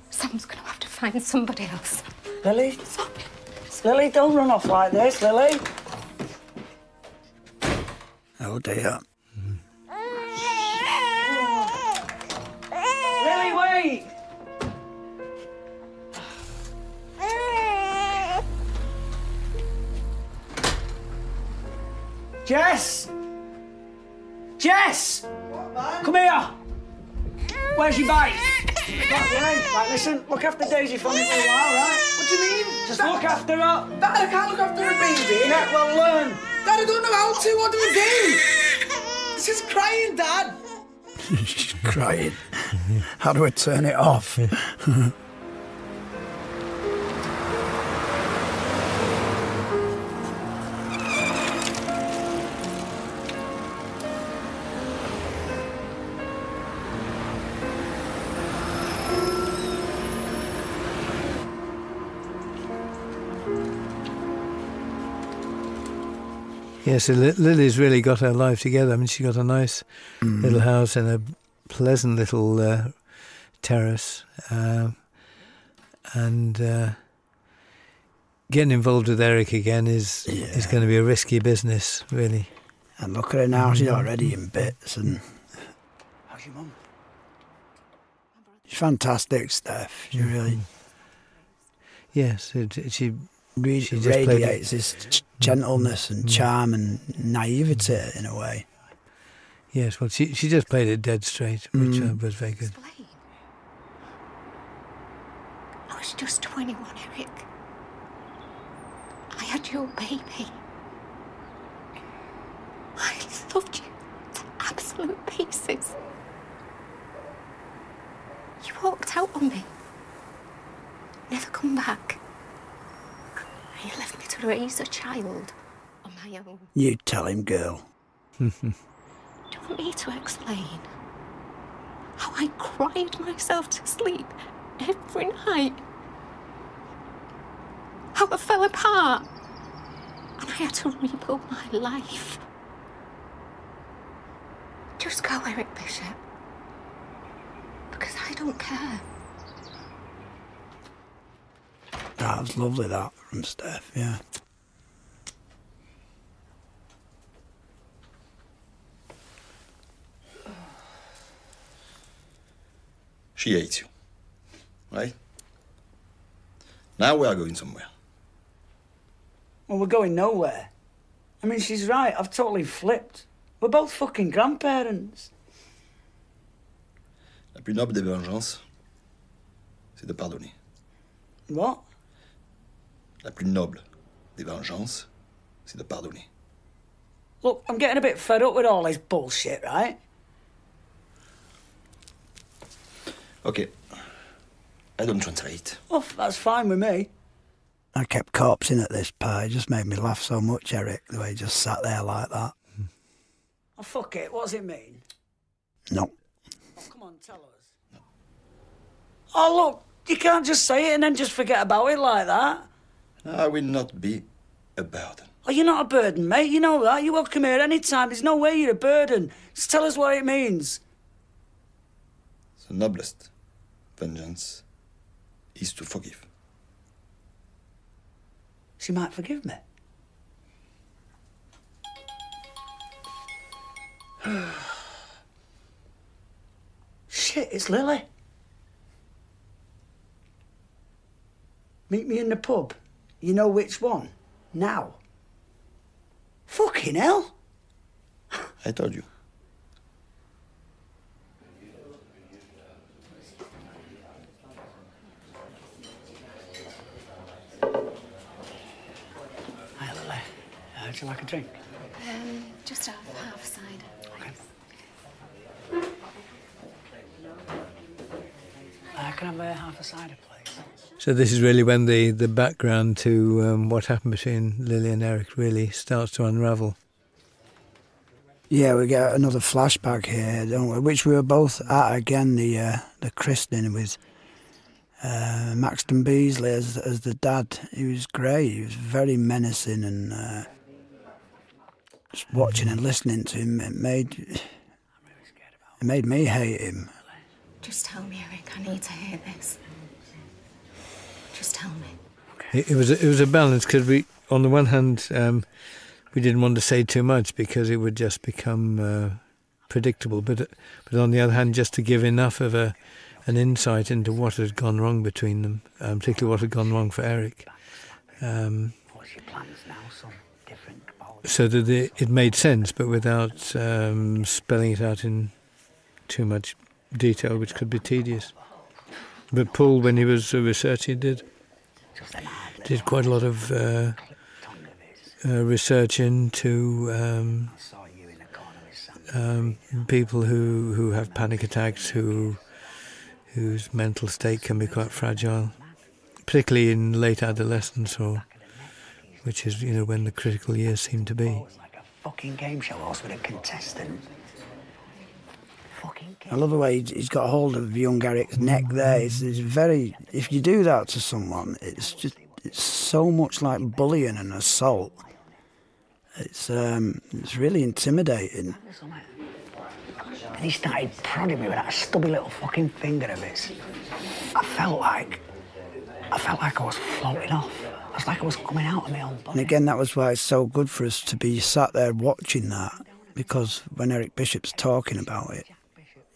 Someone's gonna have to find somebody else. Lily? Lily, don't run off like this, Lily. Oh, dear. Lily, wait! Jess! Jess! Come here! Where's your bike? right, listen, look after Daisy for me for a while, right? What do you mean? Just look after her. Dad, I can't look after a baby. Yeah, well, learn. Dad, I don't know how to. What do we do? She's crying, Dad. She's crying. how do we turn it off? Yeah, so Lily's really got her life together. I mean, she's got a nice mm. little house in a pleasant little uh, terrace, um, and uh, getting involved with Eric again is is going to be a risky business, really. And look at her now; she's mm. already in bits. And how's your mum? fantastic, stuff, you mm. really. Yes, she. Really she radiates this gentleness and mm-hmm. charm and naivety in a way. Yes, well, she, she just played it dead straight, which uh, mm. was very good. I was just 21, Eric. I had your baby. I loved you to absolute pieces. You walked out on me never come back. You left me to raise a child on my own. You tell him, girl. Do you want me to explain how I cried myself to sleep every night? How I fell apart and I had to rebuild my life. Just go, Eric Bishop. Because I don't care. That was lovely, that from Steph, yeah. She hates you, right? Now we are going somewhere. Well, we're going nowhere. I mean, she's right. I've totally flipped. We're both fucking grandparents. La plus noble des vengeances, c'est de pardonner. What? La plus noble des vengeances, c'est de pardonner. Look, I'm getting a bit fed up with all this bullshit, right? Okay. I don't want translate. Oh, that's fine with me. I kept cops in at this this It just made me laugh so much, Eric, the way he just sat there like that. Oh, fuck it. What does it mean? No. Oh, come on, tell us. Oh, look, you can't just say it and then just forget about it like that. I will not be a burden. Oh, you're not a burden, mate. You know that. You're welcome here any time. There's no way you're a burden. Just tell us what it means. The noblest vengeance is to forgive. She might forgive me. Shit, it's Lily. Meet me in the pub. You know which one? Now. Fucking hell. I told you. Hi, Lily. Uh, would you like a drink? Um, just half, half cider. Okay. Uh, can have a half a cider, please? So this is really when the, the background to um, what happened between Lily and Eric really starts to unravel. Yeah, we get another flashback here, don't we? Which we were both at again the uh, the christening with uh, Maxton Beasley as as the dad. He was great. He was very menacing, and uh, just watching and listening to him, it made it made me hate him. Just tell me, Eric. I need to hear this. Just tell me. It, was it was a balance because we, on the one hand. Um, um, we didn't want to say too much because it would just become uh, predictable. But but on the other hand, just to give enough of a an insight into what had gone wrong between them, um, particularly what had gone wrong for Eric. Um, so that it, made sense, but without spelling it out in too much detail, which could be tedious. But Paul, when he was researching, did did quite a lot of uh, uh, research into um, um, people who, who have panic attacks, who whose mental state can be quite fragile, particularly in late adolescence, or which is you know when the critical years seem to be. Fucking kid. I love the way he's got hold of young Garrick's neck there. It's, very. If you do that to someone, it's just it's so much like bullying and assault. It's um, it's really intimidating. And he started prodding me with that stubby little fucking finger of his. I felt like I felt like I was floating off. I was like I was coming out of my own body. again, that was why it's so good for us to be sat there watching that because when Eric Bishop's talking about it,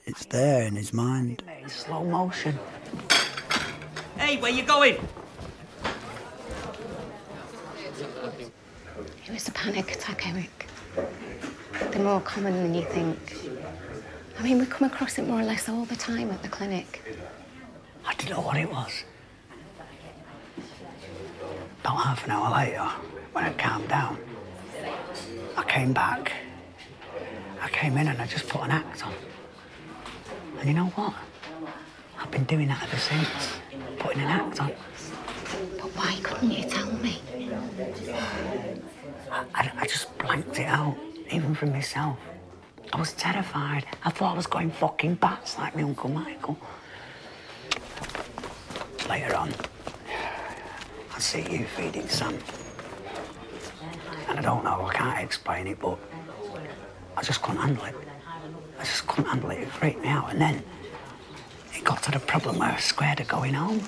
it's there in his mind. slow motion. Hey, where you going? It was a panic attack, Eric. They're more common than you think. I mean, we come across it more or less all the time at the clinic. I didn't know what it was. About half an hour later, when it calmed down, I came back. I came in and I just put an act on. And you know what? I've been doing that ever since, putting an act on. But why couldn't you tell me? I, I just blanked it out, even for myself. I was terrified. I thought I was going fucking bats like my Uncle Michael. Later on, I see you feeding Sam. And I don't know, I can't explain it, but I just couldn't handle it. I just couldn't handle it. It freaked me out. And then it got to the problem I was scared of going home.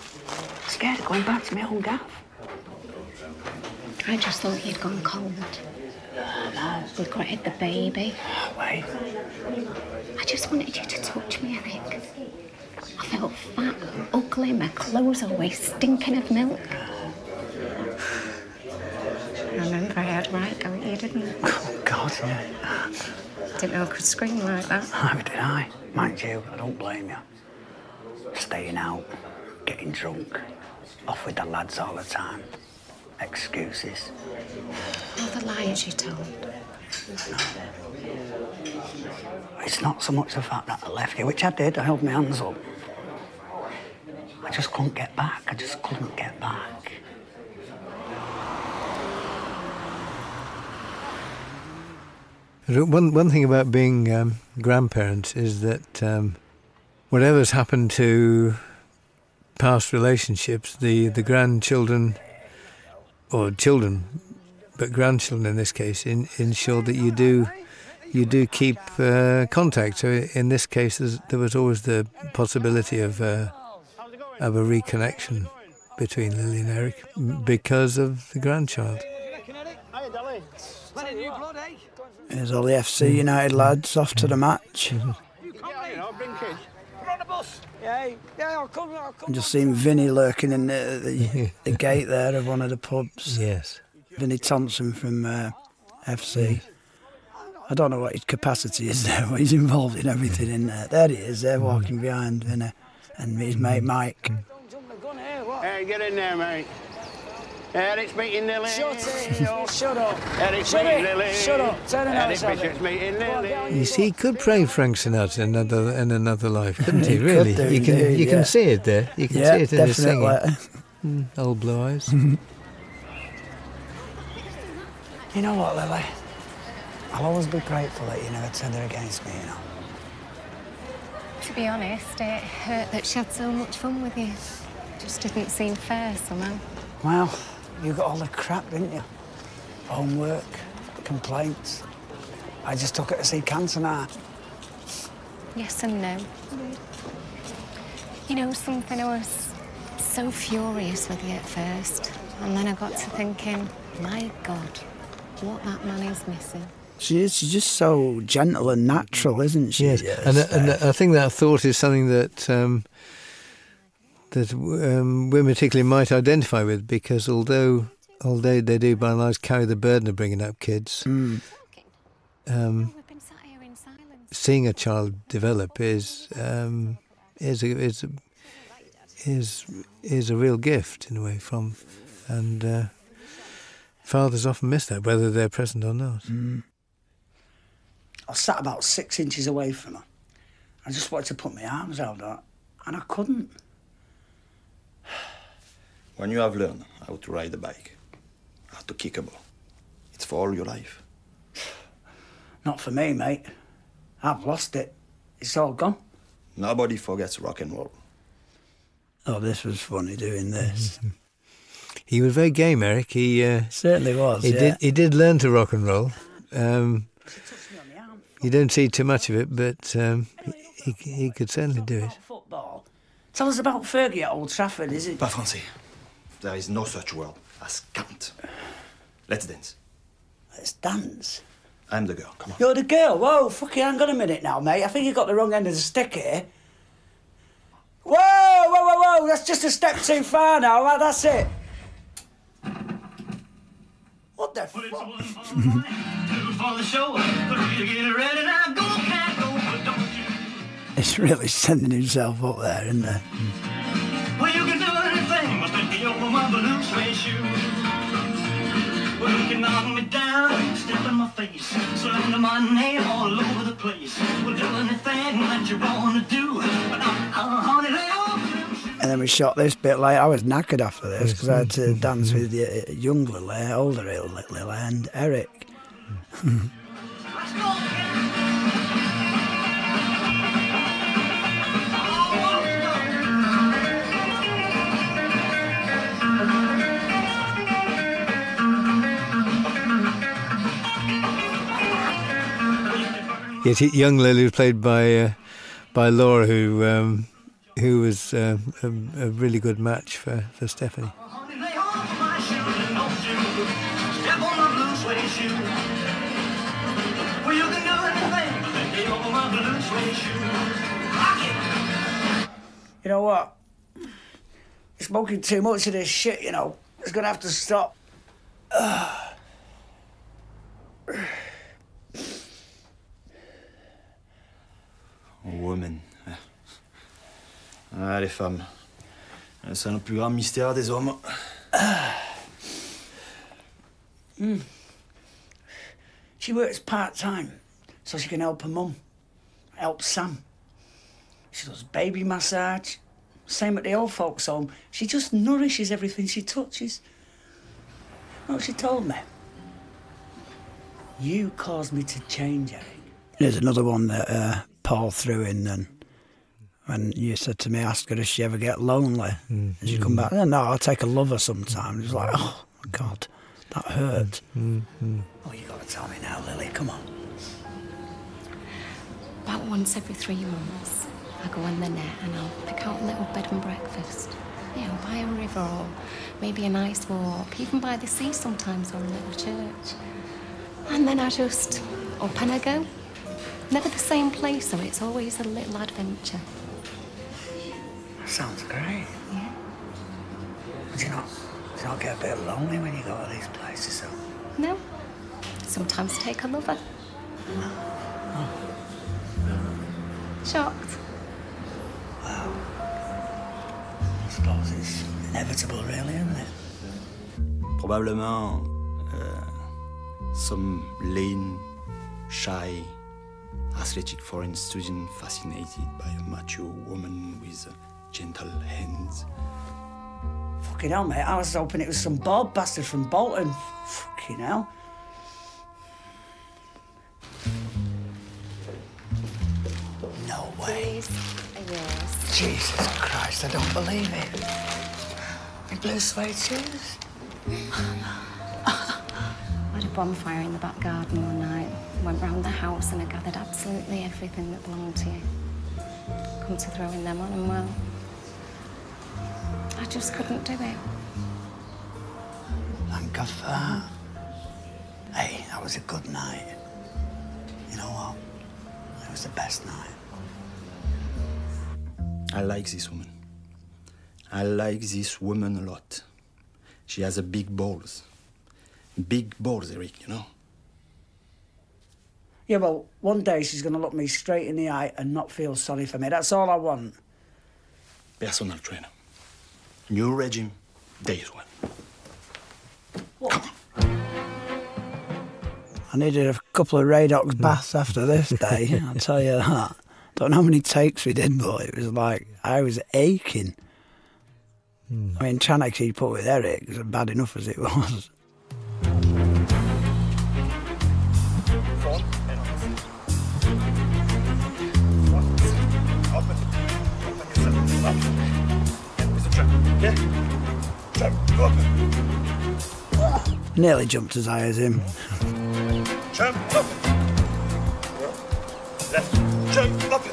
Scared of going back to my own gaff. I just thought you'd gone cold. We'd We hit the baby. Oh, wait. I just wanted you to touch me, Eric. I felt fat, ugly, my clothes always stinking of milk. I remember I had right go at you, didn't Oh, God, yeah. Didn't know I could scream like that. I did I. Mind you, I don't blame you. Staying out, getting drunk, off with the lads all the time. Excuses. All the lies you told. It's not so much the fact that I left you, which I did. I held my hands up. I just couldn't get back. I just couldn't get back. One one thing about being um, grandparents is that um, whatever's happened to past relationships, the, the grandchildren, or children, but grandchildren in this case, ensure that you do you do keep uh, contact. So in this case, there was always the possibility of uh, of a reconnection between Lily and Eric because of the grandchild. There's all the FC United lads off to the match. Mm-hmm. You come yeah, in. I'll bring kids. We're on the bus. Yeah, yeah, I'll come. I'll come. Just seen Vinny lurking in the, the, the gate there of one of the pubs. Yes. Vinny Thompson from uh, FC. I don't know what his capacity is there, but he's involved in everything in there. There he is, there mm. walking behind Vinny and his mate Mike. Mm. Hey, get in there, mate. Eric's beating Lily. Shut, Shut up. Eric's Shut beating Lily. Shut up. You see, he could play Frank Sinatra in another in another life, couldn't he? really, you can you can see it there. You can see it in definitely. his singing. Mm, old blue eyes. you know what, Lily? I'll always be grateful that you never turned her against me. You know. To be honest, it hurt that she had so much fun with you. It just didn't seem fair somehow. Well, you got all the crap, didn't you? homework, complaints. I just took her to see cancer Yes and no. You know something, I was so furious with you at first. And then I got to thinking, my God, what that man is missing. She is. She's just so gentle and natural, isn't she? Yes. And, and, I think that thought is something that um, that um, women particularly might identify with because although although they do by and large carry the burden of bringing up kids, hmm. um, seeing a child develop is um, is a, is is a real gift in a way from and uh, fathers often miss that whether they're present or not. Hmm. I sat about six inches away from her I just wanted to put my arms out, and I couldn't. When you have learned how to ride a bike, how to kick a ball, it's for all your life. Not for me, mate. I've lost it. It's all gone. Nobody forgets rock and roll. Oh, this was funny doing this. he was very game, Eric. He uh, certainly was. He did. learn to rock and roll. Um, you don't see too much of it, but um, he, could certainly do it. Football. Tell us about Fergie at Old Trafford, is it? Pas There is no such word as can Let's dance. Let's dance? I'm the girl, come on. You're the girl? Whoa, fuck i hang got a minute now, mate. I think you got the wrong end of the stick here. Whoa, whoa, whoa, whoa, that's just a step too far now. Right, that's it. What the fuck? it's really sending himself up there, isn't it? Well, you can do anything, but then you open my balloon suede you can knock me down, step in my face, slander my name all over the place. We'll do anything that you want to do, but I'm, I'm and then we shot this bit Like I was knackered after this because I had to dance with the uh, young Lily, older Lily, and Eric. Yet young Lily was played by uh, by Laura, who um, who was um, a, really good match for, for Stephanie. You know what? Smoking too much of this shit, you know. It's gonna have to stop. Woman. Ah, les femmes. C'est le plus grand mystère des hommes. She works part time so she can help her mum, help Sam. She does baby massage, same at the old folks' home, she just nourishes everything she touches. Oh, she told me. You caused me to change, Eric. There's another one that uh, Paul threw in and When you said to me, ask her if she ever get lonely. Mm. And she come mm-hmm. back, no, i take a lover sometimes. It's like, oh, my God, that hurt. Mm-hmm. Oh, you have got to tell me now, Lily, come on. About once every three months. I go on the net and I'll pick out a little bed and breakfast. You know, by a river or maybe a nice walk, even by the sea sometimes or a little church. And then I just up and I go. Never the same place, so it's always a little adventure. Sounds great. Yeah. Do you not, do you get a bit lonely when you go to these places, No. Sometimes take a lover. Shocked. Wow. I suppose it's inevitable, really, isn't it? Probably uh, some lean, shy, athletic foreign student fascinated by a mature woman with gentle hands. Fucking hell, mate. I was hoping it was some bald bastard from Bolton. Fuck you now! No way. Yes. Jesus Christ, I don't believe it. In blue suede shoes? I had a bonfire in the back garden one night. Went round the house and I gathered absolutely everything that belonged to you. Come to throwing them on and well, I just couldn't do it. Thank God for that. Hey, that was a good night. You know what? It was the best night. I like this woman. I like this woman a lot. She has a big balls. Big balls, Eric, you know? Yeah, well, one day she's going to look me straight in the eye and not feel sorry for me. That's all I want personal trainer. New regime, days one. Come on. I needed a couple of Radox mm. baths after this day, i tell you that. Don't know how many takes we did, but it was like I was aching. Mm. I mean, trying to keep up with Eric was bad enough as it was. Nearly jumped as high as him. Left. Jump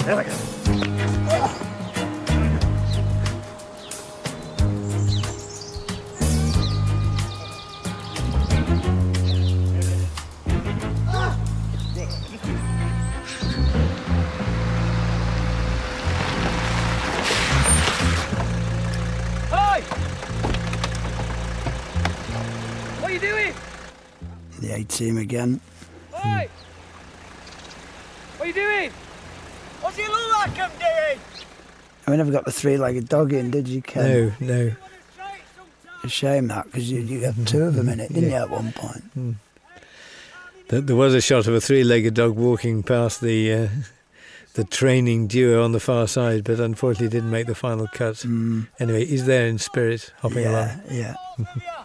There we go. What are you doing? The A team again. Hey! What are you doing? What's he look like, MD? We never got the three-legged dog in, did you, Ken? No, no. shame that, because you, had two of them in it, didn't you, at one point? Hmm. There was a shot of a three-legged dog walking past the uh, the training duo on the far side, but unfortunately didn't make the final cut. Hmm. Anyway, he's there in spirit, hopping along. Yeah.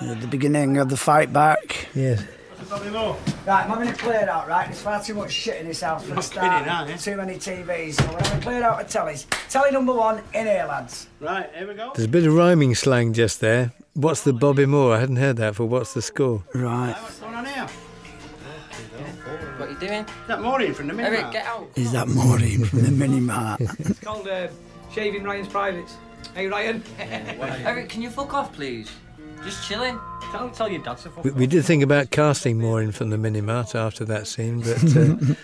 At the beginning of the fight back. Yes. Right, I'm having it cleared out, right? There's far too much shit in this house for the start. Kidding, too many TVs. So we're having clear out the tellys. Telly number one, in here, lads. Right, here we go. There's a bit of rhyming slang just there. What's the Bobby Moore? I hadn't heard that for What's the Score. Right. What are you doing? Is that Maureen from the Minimart? Eric, Is that Maureen from the Minimart? it's called uh, shaving Ryan's privates. Hey, Ryan. Eric, can you fuck off, please? Just chilling. Tell, tell your dad fuck we, did think about casting more in from the minimart after that scene, but uh,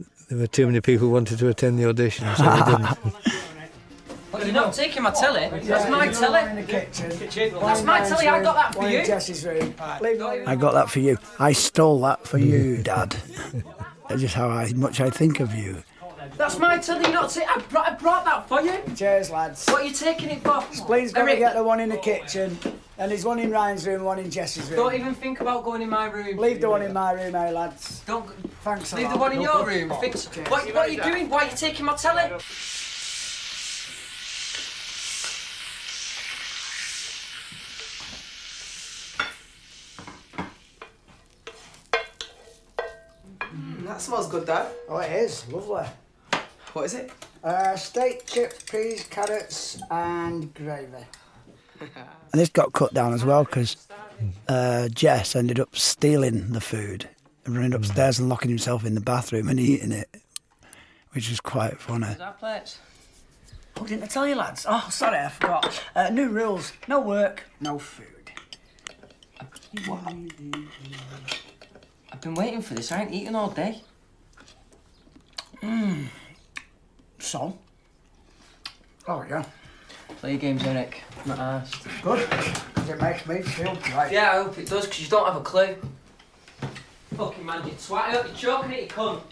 there were too many people who wanted to attend the audition, so we didn't. Well, you're not taking my telly. That's my telly. That's my telly. I got that for you. Jess's room. I got that for you. I stole that for you, Dad. That's just how much I think of you. That's my telly, not it. I brought, that for you. Cheers, lads. What are you taking it for? Spleen's got to get the one in the kitchen. And there's one in Ryan's room, one in Jesse's room. Don't even think about going in my room. Leave the one in my room, eh, lads? Don't. Thanks Leave the one in your room. what are you doing? Why are you taking my telly? Hmm, that smells good, Dad. Oh, it is. Lovely. What is it? Uh, steak, chips, peas, carrots and gravy. and this got cut down as well because uh, Jess ended up stealing the food and running hmm. upstairs and locking himself in the bathroom and eating it, which was quite funny. that plate? Oh, didn't I tell you, lads? Oh, sorry, I forgot. Uh, new rules. No work, no food. I've been waiting for this. I ain't eating all day. Mmm. So? Oh, yeah. Play games, Eric. i not asked. Good. It makes me feel great. Yeah, I hope it does, because you don't have a clue. Fucking man, you twat. I hope you're choking it, you cunt.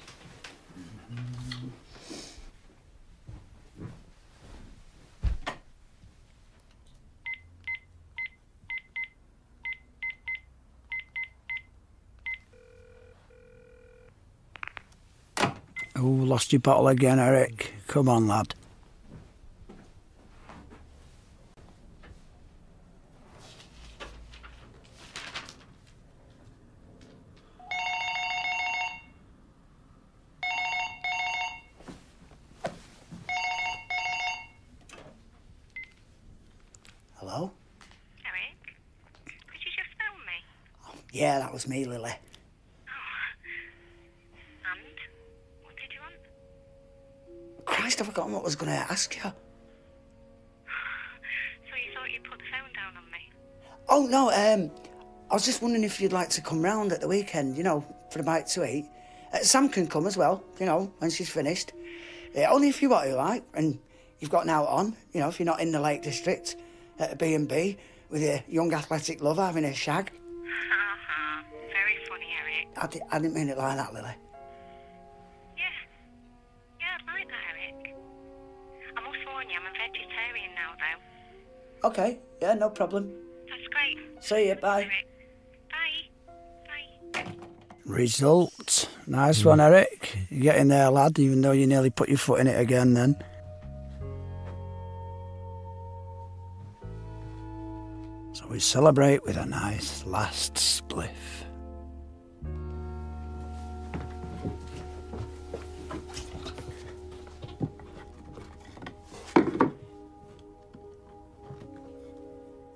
Oh, lost your bottle again, Eric. Come on, lad. Hello? Eric? Did you just phone me? Oh, yeah, that was me, Lily. Oh. And? What did you want? Christ, I've forgotten what I was going to ask you. so you thought you'd put the phone down on me? Oh, no, um, I was just wondering if you'd like to come round at the weekend, you know, for a bite to eat. Uh, Sam can come as well, you know, when she's finished. Uh, only if you want to, right? and you've got an out on, you know, if you're not in the Lake District at a B&B with your young athletic lover having a shag. Uh-huh. Very funny, Eric. I, didn't mean it like that, Lily. Yeah. Yeah, i like that, Eric. I must warn you, I'm a vegetarian now, though. Okay, yeah, no problem. That's great. See you, bye. Bye. Bye. Result. Nice hmm. one, Eric. You get in there, lad, even though you nearly put your foot in it again then. So we celebrate with a nice last spliff.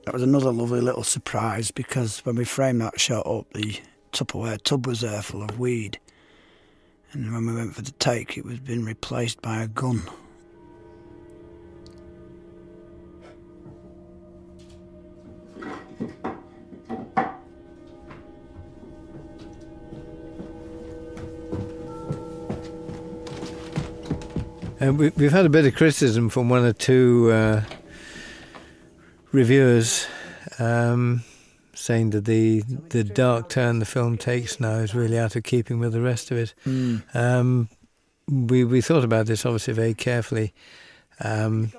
That was another lovely little surprise because when we framed that shot up, the Tupperware tub was there full of weed. And when we went for the take, it was being replaced by a gun. Uh, we, have had a bit of criticism from one or two uh, reviewers um, saying that the dark turn the film takes now is really out of keeping with the rest of it. Hmm. Um, we thought about this obviously very carefully, um,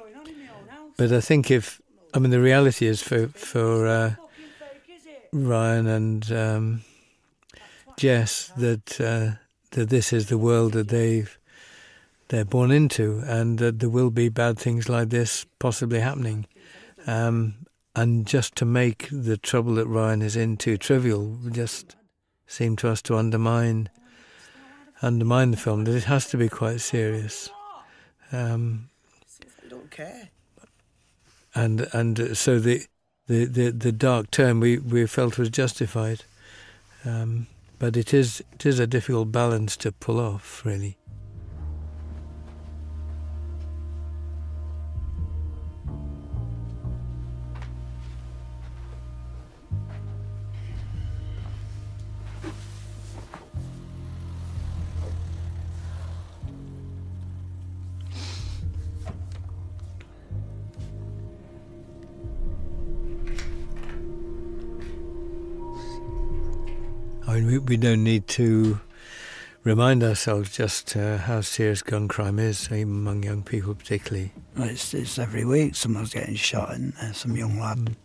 but I think if I mean the reality is for uh, Ryan and Yes, that uh, that this is the world that they've they're born into, and that there will be bad things like this possibly happening. Um, and just to make the trouble that Ryan is in too trivial, just seemed to us to undermine undermine the film. That it has to be quite serious. I um, don't care. And and so the the, the, the dark term we, we felt was justified. Um, but it is, it is a difficult balance to pull off, really. I mean, we, don't need to remind ourselves just uh, how serious gun crime is, among young people particularly. it's, every week someone's getting shot, and uh, some young lad.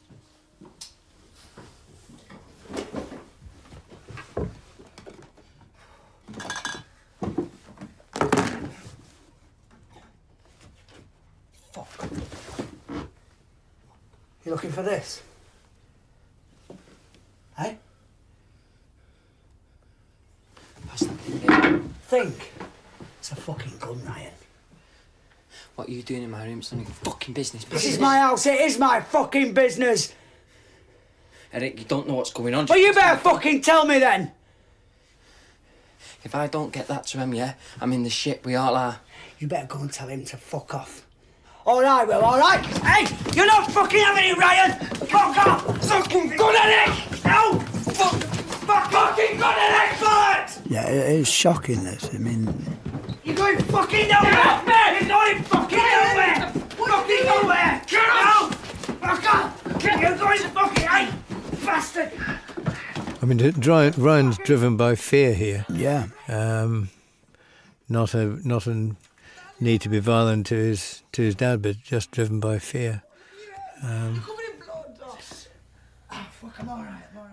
Fuck. You are looking for this? Hey? That's the thing. Think. It's a fucking gun, Ryan. What are you doing in my room? It's none fucking business. This is my house. It is my fucking business. Eric, you don't know what's going on. Well, you better fucking tell me then. If I don't get that to him, yeah, I'm in the shit. We all are. You better go and tell him to fuck off. All right, well, all right. Hey, you're not fucking having it, Ryan. Fuck off. Fucking gun Eric. No. Fuck. Fuck. Fucking gun Eric. Bullets. Yeah, it is shocking. This. I mean. You're going fucking nowhere. You're going fucking nowhere. What fucking do you mean? nowhere! Get out! Fuck off! You're going to fucking bastard! I mean, Ryan's driven by fear here. Yeah. Um, not a not a need to be violent to his to his dad, but just driven by fear. Um, ah,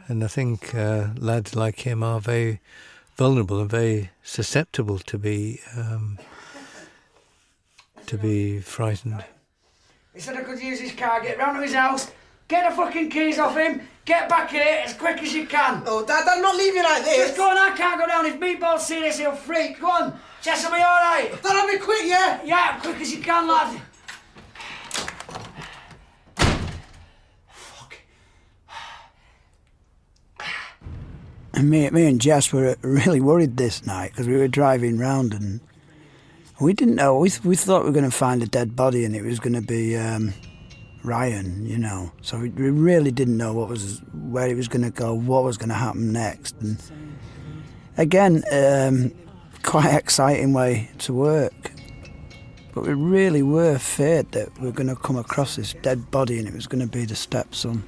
and I think uh, lads like him are very vulnerable and very susceptible to be um, to be frightened. He said I could use his car, get round to his house, get the fucking keys off him, get back in it as quick as you can. Oh, Dad, i not not me like this. Just go on, I can't go down. If Meatball's see this, he'll freak. Go on, Jess will be all right. Dad, I'll be quick, yeah? Yeah, quick as you can, lad. Fuck. And me, me and Jess were really worried this night because we were driving round and we didn't know. We, we thought we were going to find a dead body and it was going to be um, Ryan, you know. So we, really didn't know what was where it was going to go, what was going to happen next. And again, um, quite exciting way to work. But we really were feared that we were going to come across this dead body and it was going to be the stepson.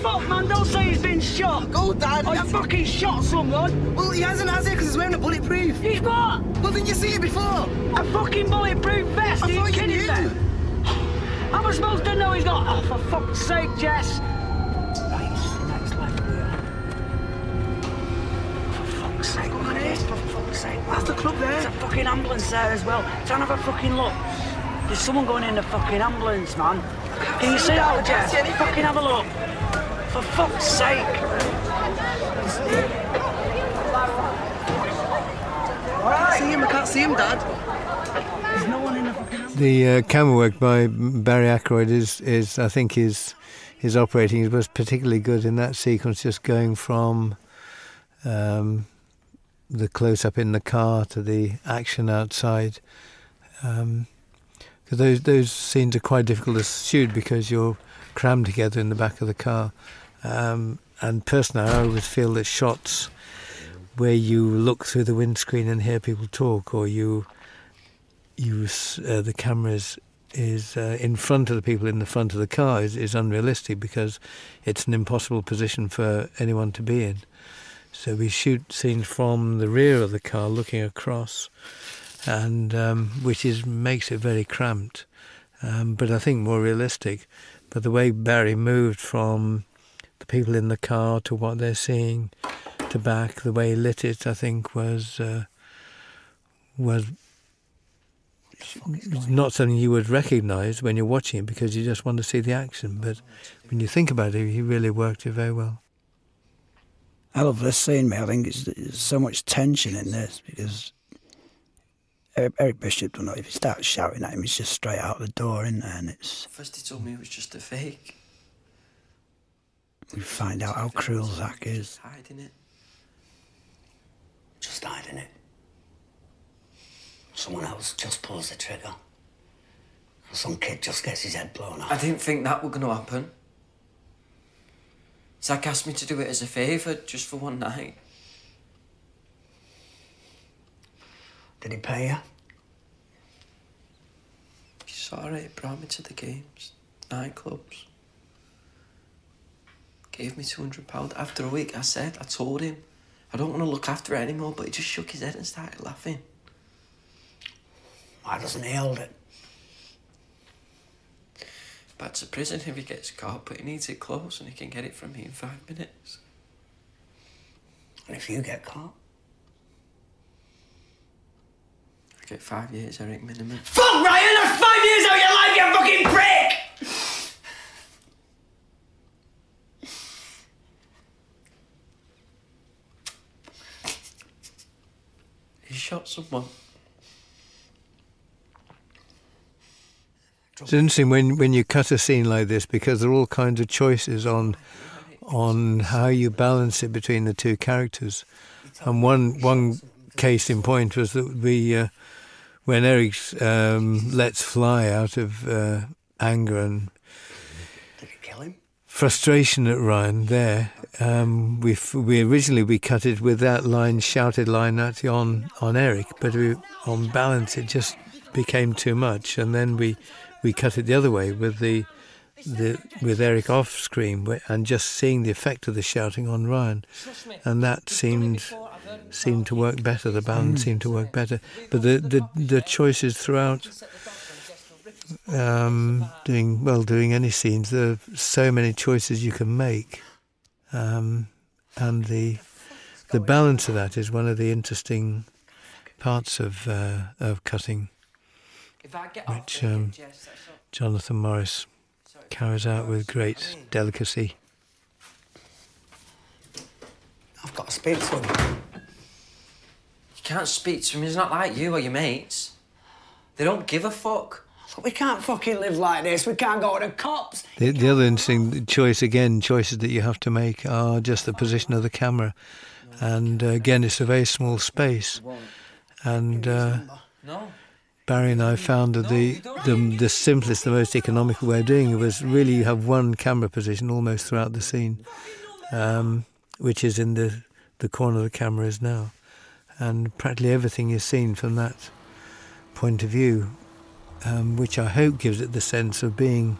fuck, man? Don't say he's been shot. Go, Dad. Oh, that's... fucking shot someone. Well, he hasn't, has he? Because he's wearing a bulletproof. He's what? Well, didn't you see it before? A fucking bulletproof vest. I Are you kidding you me? How am I supposed to know he's not? Oh, for fuck's sake, Jess. That's the club there. There's a fucking ambulance there as well. Don't have a fucking look. There's someone going in the fucking ambulance, man. Can you see that, old Jeff? Fucking have a look. For fuck's sake. I see him, I can't see him, Dad. the uh, camera work by Barry Ackroyd is, is I think, is his operating was particularly good in that sequence, just going from um, the close up in the car to the action outside. Um, because those, those scenes are quite difficult to shoot because you're crammed together in the back of the car. Um, and personally, I always feel that shots where you look through the windscreen and hear people talk, or you use uh, the cameras is uh, in front of the people in the front of the car is, is unrealistic because it's an impossible position for anyone to be in. So we shoot scenes from the rear of the car looking across, and um, which is makes it very cramped, um, but I think more realistic. But the way Barry moved from the people in the car to what they're seeing to back, the way he lit it, I think was uh, was not something you would recognise when you're watching it because you just want to see the action. But when you think about it, he really worked it very well. I love this scene, mate. I think it's, there's so much tension in this because Eric, Bishop, don't know if he starts shouting at him, he's just straight out the door, in there? And it's. First, he told me it was just a fake. We find out how cruel Zach is. Just hiding it. Just hiding it. Someone else just pulls the trigger. Some kid just gets his head blown off. I didn't think that was going to happen. Zach asked me to do it as a favour, just for one night. Did he pay you? He saw he brought me to the games, nightclubs. Gave me £200. After a week, I said, I told him, I don't want to look after it anymore, but he just shook his head and started laughing. I just nailed it. to prison if he gets caught, but he needs it close and he can get it from me in five minutes. And if you get caught? I get five years, I reckon, minimum. Fuck, Ryan! That's five years out your life, you fucking prick! He shot someone. It's interesting when, when you cut a scene like this because there are all kinds of choices on on how you balance it between the two characters. And one one case in point was that we uh, when Eric um, lets fly out of uh, anger and frustration at Ryan there. Um, we originally we cut it with that line, shouted line at on on Eric, but on balance it just became too much, and then we we cut it the other way with the with Eric off screen and just seeing the effect of the shouting on Ryan, and that seemed seemed to work better. The balance mm. seemed to work better, but the the, the choices throughout um, doing well, doing any scenes. There are so many choices you can make, um, and the the balance of that is one of the interesting parts of uh, of cutting, which um, Jonathan Morris carries out with great delicacy. I've got to speak to him. You can't speak to him. He's not like you or your mates. They don't give a fuck. We can't fucking live like this. We can't go to the cops. The, other interesting choice, again, choices that you have to make are just the position of the camera. And uh, again, it's a very small space. And uh, Barry and I found that the, the, simplest, the most economical way of doing it was really have one camera position almost throughout the scene. Um, which is in the, the corner the camera is now. And practically everything is seen from that point of view, um, which I hope gives it the sense of being,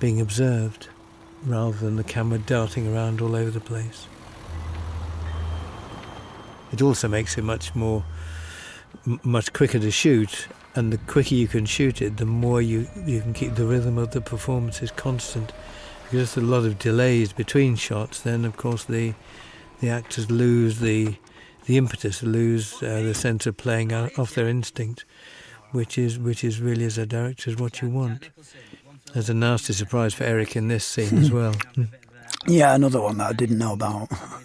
being observed rather than the camera darting around all over the place. It also makes it much more, much quicker to shoot, and the quicker you can shoot it, the more you, you can keep the rhythm of the performances constant because there's a lot of delays between shots, then of course the the actors lose the the impetus, lose uh, the sense of playing off their instinct, which is which is really as a director is what you want. There's a nasty surprise for Eric in this scene as well. yeah, another one that I didn't know about. Uh, uh,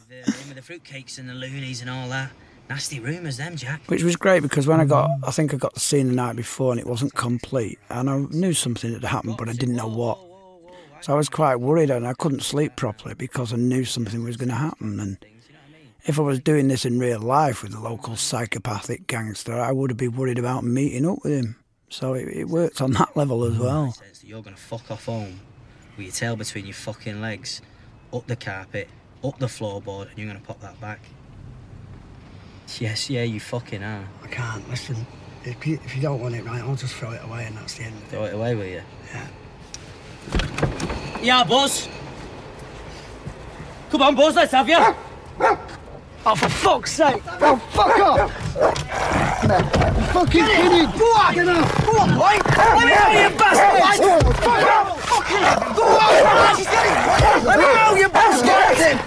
the fruitcakes and the loonies and all that. Nasty rumours, then Jack. Which was great because when I got, I think I got the scene the night before and it wasn't complete and I knew something had happened, but I didn't know what. So I was quite worried and I couldn't sleep properly because I knew something was going to happen. And if I was doing this in real life with a local psychopathic gangster, I would have been worried about meeting up with him. So it, it worked on that level as mm. well. You're going to fuck off home with your tail between your fucking legs, up the carpet, up the floorboard, and you're going to pop that back. Yes, yeah, you fucking are. I can't. Listen, if you, don't want it right, I'll just throw it away and that's the end of it. Throw it away, will you? Yeah. Yeah, Buzz. Come on, boss. let's have you. oh, for fuck's sake. Oh, fuck off. you fucking kidding. Go on. Get up. Go on, boy. Let me out, you bastard. Fuck off. Fucking. Go Let me know you bastard.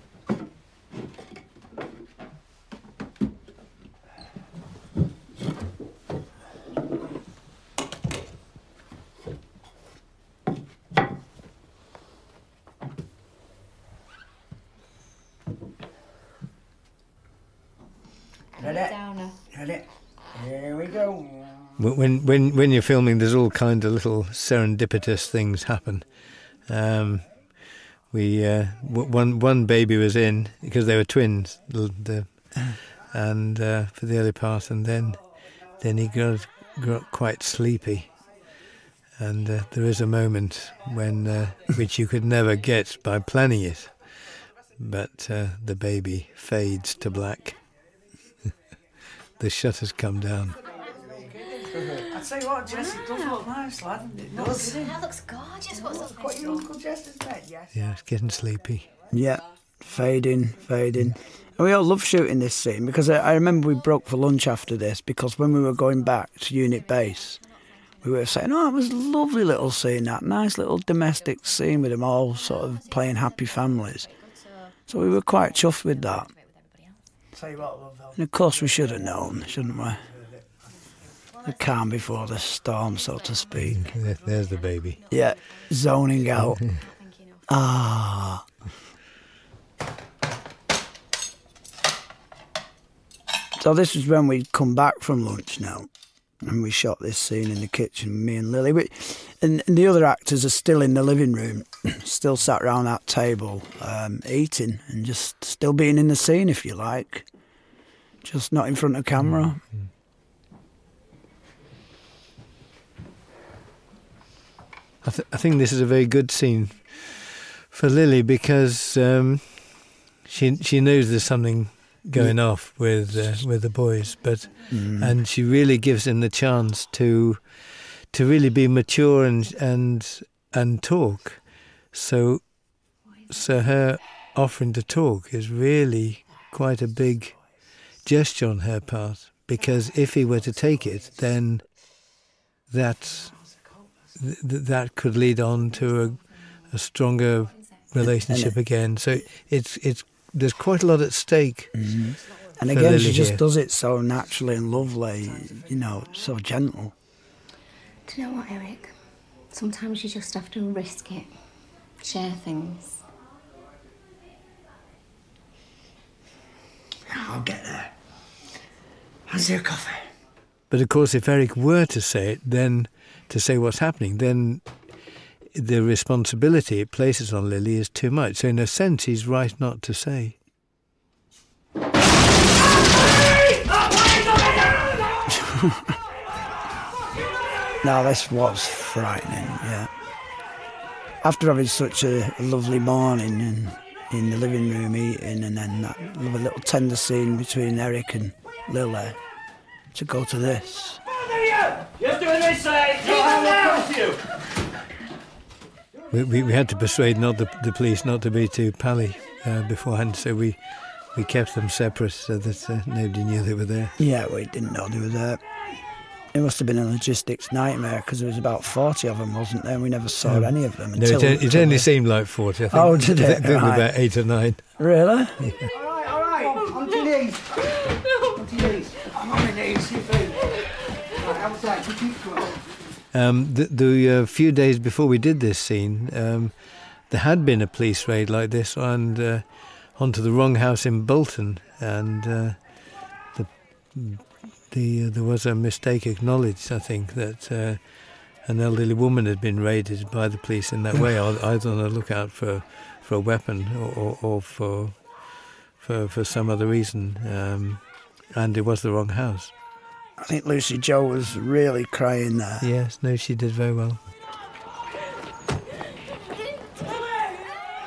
Here we go. When when when you're filming, there's all kind of little serendipitous things happen. Um, we uh, one one baby was in because they were twins, and uh, for the early part, and then then he got, quite sleepy. And uh, there is a moment when which you could never get by planning it, but the baby fades to black. the shutter's come down. I tell you what, Jess, it does look nice, That looks gorgeous. What's that? What your Uncle Jess's bed, yes? Yeah, it's getting sleepy. Yeah, fading, fading. we all love shooting this scene because I, I remember we broke for lunch after this because when we were going back to unit base, we were saying, oh, it was lovely little scene, that nice little domestic scene with them all sort of playing happy families. So we were quite chuffed with that of course, we should have known, shouldn't we? The calm before the storm, so to speak. There's the baby. Yeah, zoning out. ah. So this was when we'd come back from lunch now, and we shot this scene in the kitchen, me and Lily. and the other actors are still in the living room still sat around that table um, eating and just still being in the scene, if you like, just not in front of camera. Mm-hmm. I, think this is a very good scene for Lily because um, she she knows there's something going off with uh, with the boys, but mm-hmm. and she really gives him the chance to to really be mature and and and talk. So so her offering to talk is really quite a big gesture on her part because if he were to take it, then that that could lead on to a, stronger relationship again. So it's it's there's quite a lot at stake. Mm-hmm. And again, she just does it so naturally and lovely, you know, so gentle. Do you know what, Eric? Sometimes you just have to risk it, share things. I'll get there. I'll How's your coffee? But of course, if Eric were to say it, then to say what's happening, then the responsibility it places on Lily is too much. So, in a sense, he's right not to say. now this was frightening, yeah. After having such a, lovely morning and in the living room eating and then that lovely little tender scene between Eric and Lily to go to this we, we, had to persuade not the, the, police not to be too pally uh, beforehand, so we we kept them separate so that uh, nobody knew they were there. Yeah, we didn't know they were there. It must have been a logistics nightmare because there was about 40 of them, wasn't there? And we never saw any of them. Until, no, it, only seemed like 40, I think. Oh, did it? There about eight or nine. Really? All right, all right. Oh, on to your knees. On to your knees. I'm on my knees. Um, the, uh, few days before we did this scene, um, there had been a police raid like this and uh, onto the wrong house in Bolton, and uh, the, uh, there was a mistake acknowledged. I think that an elderly woman had been raided by the police in that way, either on the lookout for for a weapon or for for, for some other reason. Um, and it was the wrong house. I think Lucy Joe was really crying there. Yes, no, she did very well.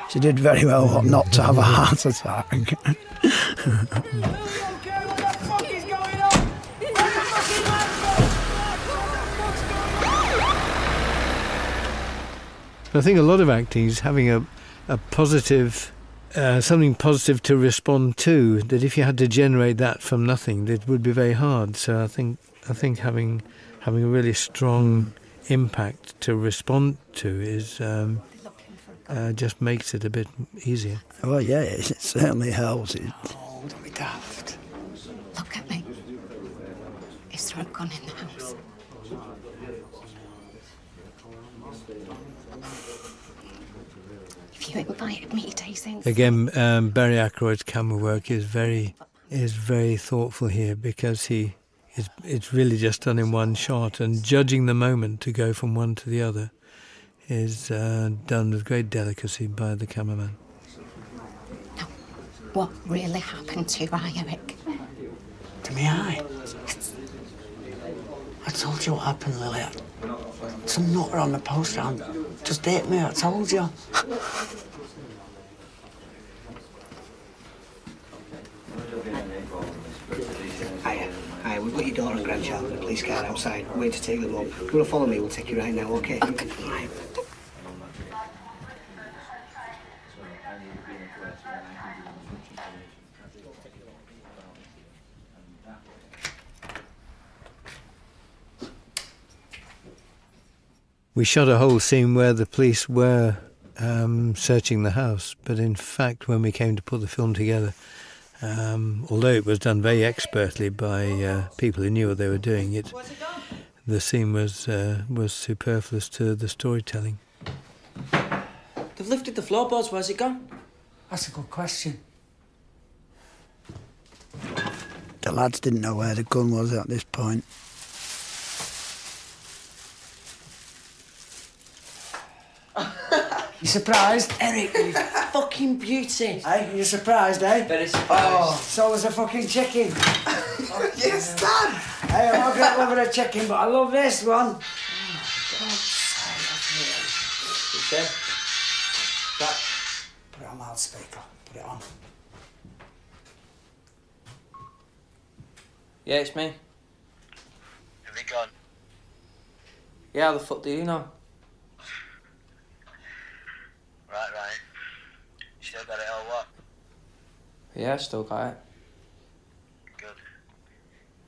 She did very well not to have a heart attack. I think a lot of acting is having a a positive uh, something positive to respond to. That if you had to generate that from nothing, it would be very hard. So I think I think having having a really strong impact to respond to is um, uh, just makes it a bit easier. Well, yeah, it certainly helps. Look at me. It's not gone in the house? Viewing by mutating. Again, um, Barry Ackroyd's camera work is very is very thoughtful here because he is it's really just done in one shot and judging the moment to go from one to the other is uh, done with great delicacy by the cameraman. what really happened to Eric? To me, I. I told you what happened, Lily. It's not on the poster. I'm just hit me. I told you. Hiya. Hiya, we've got your daughter and grandchild in a police car outside. Wait to take them up. You want to follow me? We'll take you right now, okay? okay. Oh, right. We shot a whole scene where the police were um, searching the house, but in fact, when we came to put the film together, um, although it was done very expertly by uh, people who knew what they were doing, it the scene was uh, was superfluous to the storytelling. They've lifted the floorboards. Where's it gone? That's a good question. The lads didn't know where the gun was at this point. you surprised? Eric, you fucking beauty. Hey, you surprised, eh? Very surprised. Oh, so was a fucking chicken. yes, Dad! Hey, I'm not going to love a but I love this one on. Oh, there. That. Put it on loudspeaker. Put it on. Yeah, it's me. Have they gone? Yeah, the fuck do you know? Right, right. Still got it all what? Yeah, still got it. Good.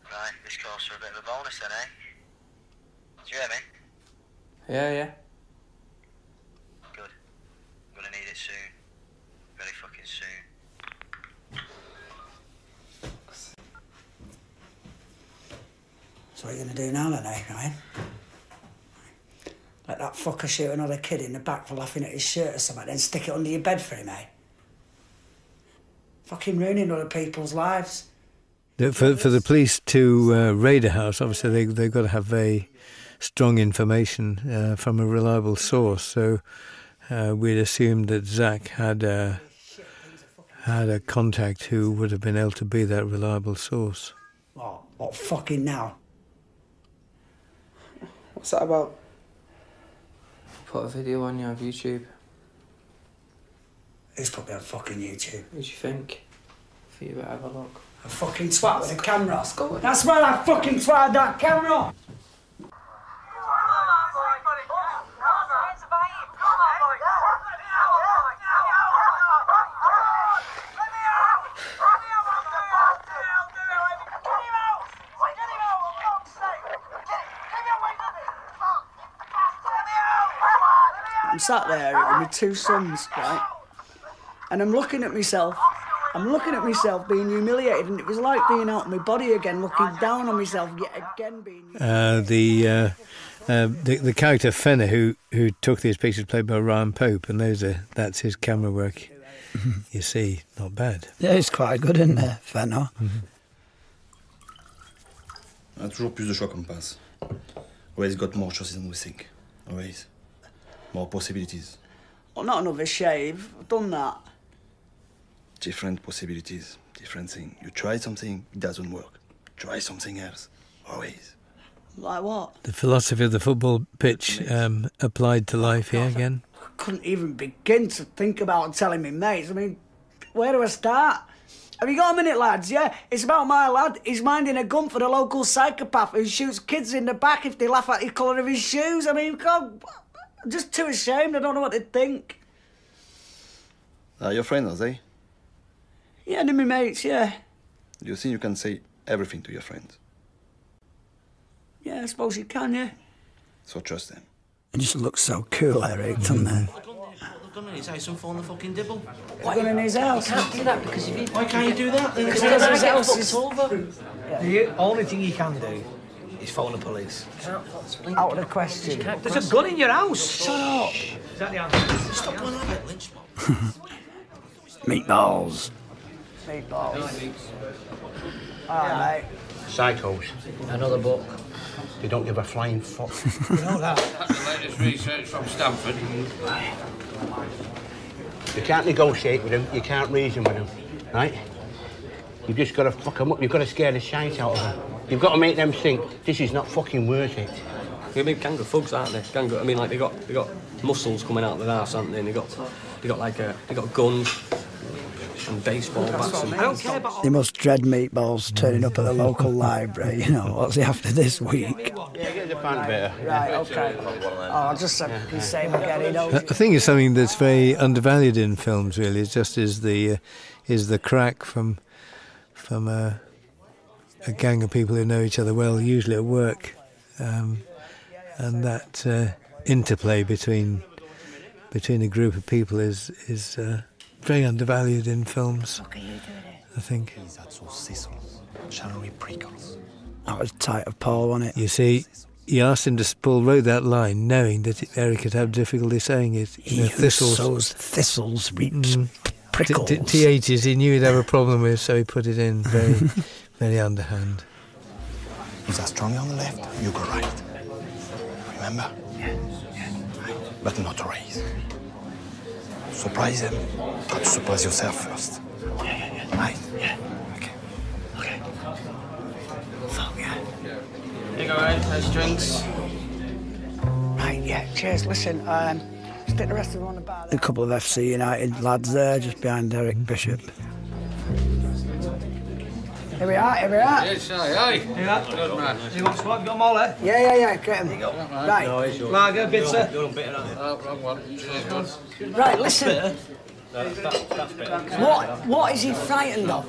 Right, this calls for a bit of a bonus then, eh? Do you hear me? Yeah, yeah. Good. gonna need it soon. Very fucking soon. So what are you gonna do now then, eh, Right. Let that fucker shoot another kid in the back for laughing at his shirt or something, then stick it under your bed for him, eh? fucking ruining other people's lives. For, for the police to uh, raid a house, obviously they, they've got to have very strong information uh, from a reliable source. So uh, we'd assumed that Zach had a, had a contact who would have been able to be that reliable source. what oh, oh, fucking now? What's that about? Put a video on your YouTube. It's probably on fucking YouTube. What do you think? I think you better have a look. A fucking twat with a camera. Scotland. That's where I fucking tried that camera. I'm sat there with my two sons, right? And I'm looking at myself. I'm looking at myself being humiliated, and it was like being out of my body again, looking down on myself yet again. Being uh, uh, uh, the, the character Fenner, who who took these pictures, played by Ryan Pope, and those are that's his camera work. you see, not bad. Yeah, it's quite good, in there, Fenner? Mm-hmm. Always got more choices than we think. Always. More possibilities. Well, oh, not an overshave. I've done that. Different possibilities. Different thing. You try something, it doesn't work. Try something else. Always. Like what? The philosophy of the football pitch um, applied to life here again. couldn't even begin to think about telling me mates. I mean, where do I start? Have you got a minute, lads? Yeah, it's about my lad. He's minding a gun for the local psychopath who shoots kids in the back if they laugh at the colour of his shoes. I mean, God, just too ashamed. I don't know what to think. Uh, your friend, are they? Yeah, they're my mates, yeah. You think you can say everything to your friends? Yeah, I suppose you can, yeah. So trust them. It just looks so cool, Eric, doesn't it? Gun mm. in his house and fall in the fucking dibble. What? Gun in his house. You can't do that because if you. Why can't you do that? Because his house is over. The only thing you can do He's phoning the police. Out of the question. There's a gun in your house. Shut up. Is that the answer? Stop going on about lynch Meatballs. Meatballs. All right, mate. Psychos. Another book. They don't give a flying fuck. you know that? That's the latest research from Stanford. You can't negotiate with them, you can't reason with them, right? You've just got to fuck them up, you've got to scare the shite out of them. You've got to make them think, this is not fucking worth it. They're a of thugs, aren't they? Gang I mean, like, they got they got muscles coming out of their ass, haven't they? And they got, they got like, a, uh, they got guns baseball bats. They must dread meatballs turning up at the local library. You know, what's he after this week? Right, okay. Oh, I'll just uh, be saying I think it's something that's very undervalued in films. Really, it just is the uh, is the crack from from uh, a, gang of people who know each other well, usually at work, um, and that uh, interplay between between a group of people is is very undervalued in films. I think. I was tight of Paul on it. You see, he asked him to Paul wrote that line knowing that Eric could have difficulty saying it. You he know, thistles. sows thistles reaps mm, prickles. THs he knew he'd have a problem with, so he put it in very, very underhand. Is that strongly on the left, you go right. Remember? but not raise. Surprise them, try to surprise yourself first. Yeah, yeah, yeah. Right? Yeah. Okay. Okay. Fuck yeah. Hey guys, nice drinks. Right, yeah, cheers. Listen, um, stick the rest of them on the bar. There. A couple of FC United lads there, just behind Eric Bishop. Here we are, here we are. Yes, aye, aye. Here we are. Good man. You want spot? You got them all, eh? Yeah, yeah, yeah. Get them. There you go. Right. No, it's yours. Lager, bitter. You're on bitter, aren't you? Oh, wrong one. Cheers, man. Right, listen. Bitter. No, that's, that's, that's bitter. What, what is he frightened of?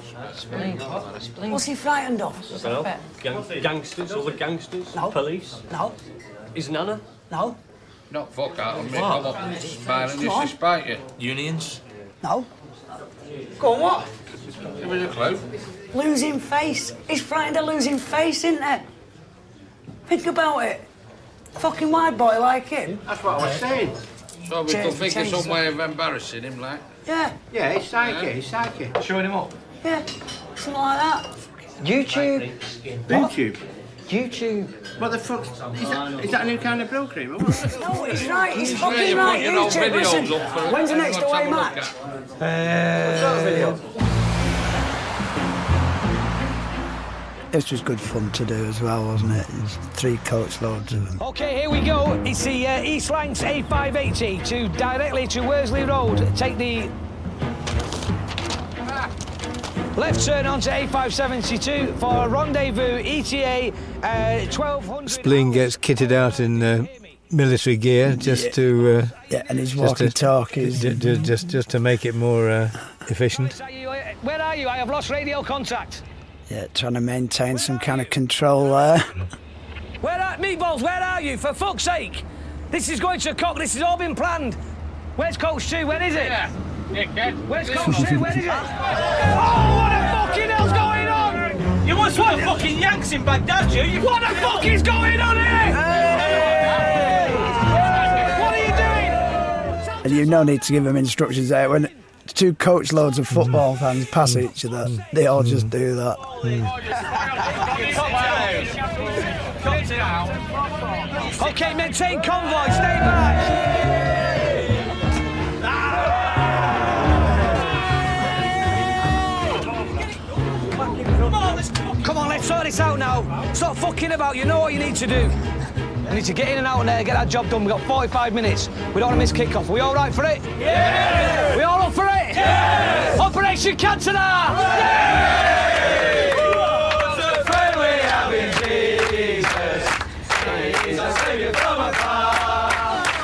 What's he frightened of? Well, gang gangsters, all the gangsters, no. police. No. His nana? No. Not fuck out on me, come on. Smiling, disrespect you. Unions? No. Gone what? Give us a clue. Losing face. He's frightened of losing face, isn't it? Think about it. fucking wide boy like him. That's what I was saying. So we can think of some way of embarrassing him, like. Yeah. Yeah, he's psychic, yeah. he's psychic. Showing him up? Yeah, something like that. YouTube. YouTube? YouTube. What the fuck? Is that a new kind of blue cream? no, he's right. He's, fucking right. YouTube. Listen, when's the next away match? Uh, this was good fun to do as well, wasn't it? three coachloads of them. OK, here we go. It's the uh, East Lanks A580 to directly to Worsley Road. Take the Left turn onto A572 for a rendezvous ETA uh, 1200. Spleen gets kitted out in the. Uh, military gear just to uh, just, to, just just to make it more uh, efficient. Where are you? I have lost radio contact. Yeah, trying to maintain some kind of control there. Where are meatballs? Where are you? For fuck's sake! This is going to cock. This has all been planned. Where's Coach Stu? When is it? Where's Coach Stu? When is it? oh, what the fucking hell's going on? You must want the fucking Yanks in Baghdad, you. you what the fuck is going on here? What are you doing? And you no need to give them instructions there. When two coach loads of football fans pass each other, they all just do that. okay, maintain convoy, stay back. Come on, let's sort this out now. Stop fucking about, you know what you need to do. We need to get in and out of there, uh, get that job done. We've got 45 minutes. We don't want to miss kickoff. Are we all right for it? Yeah! We all up for it? Yes! Operation Cantona! Yeah!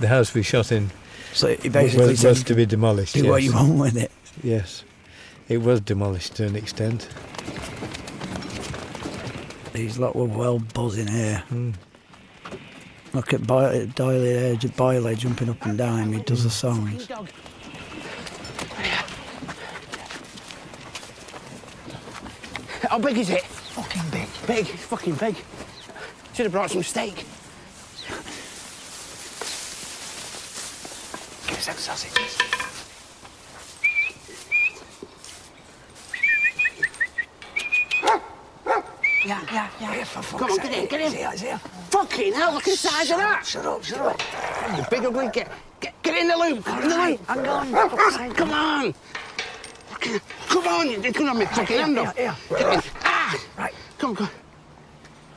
the, house we shot in so it basically was, was to be demolished. Do what you want with it. Yes, it was demolished to an extent. These lot were well buzzing here. Mm. Look at Boyle, Doyle, Boyle jumping up and down. He does the hmm. songs. How big is it? Fucking big. Big. Fucking big. Should have brought some steak. Give us some Yeah, Ja, ja, ja. Kom on, get in, get in. Zeer, zeer. Fucking hell, look inside size of that. Shut up, shut up. The bigger ugly, get, in the loop. I'm going. Come on. Come on, it's gonna make fucking hand up. Here, here. Ah! Right. Come, on.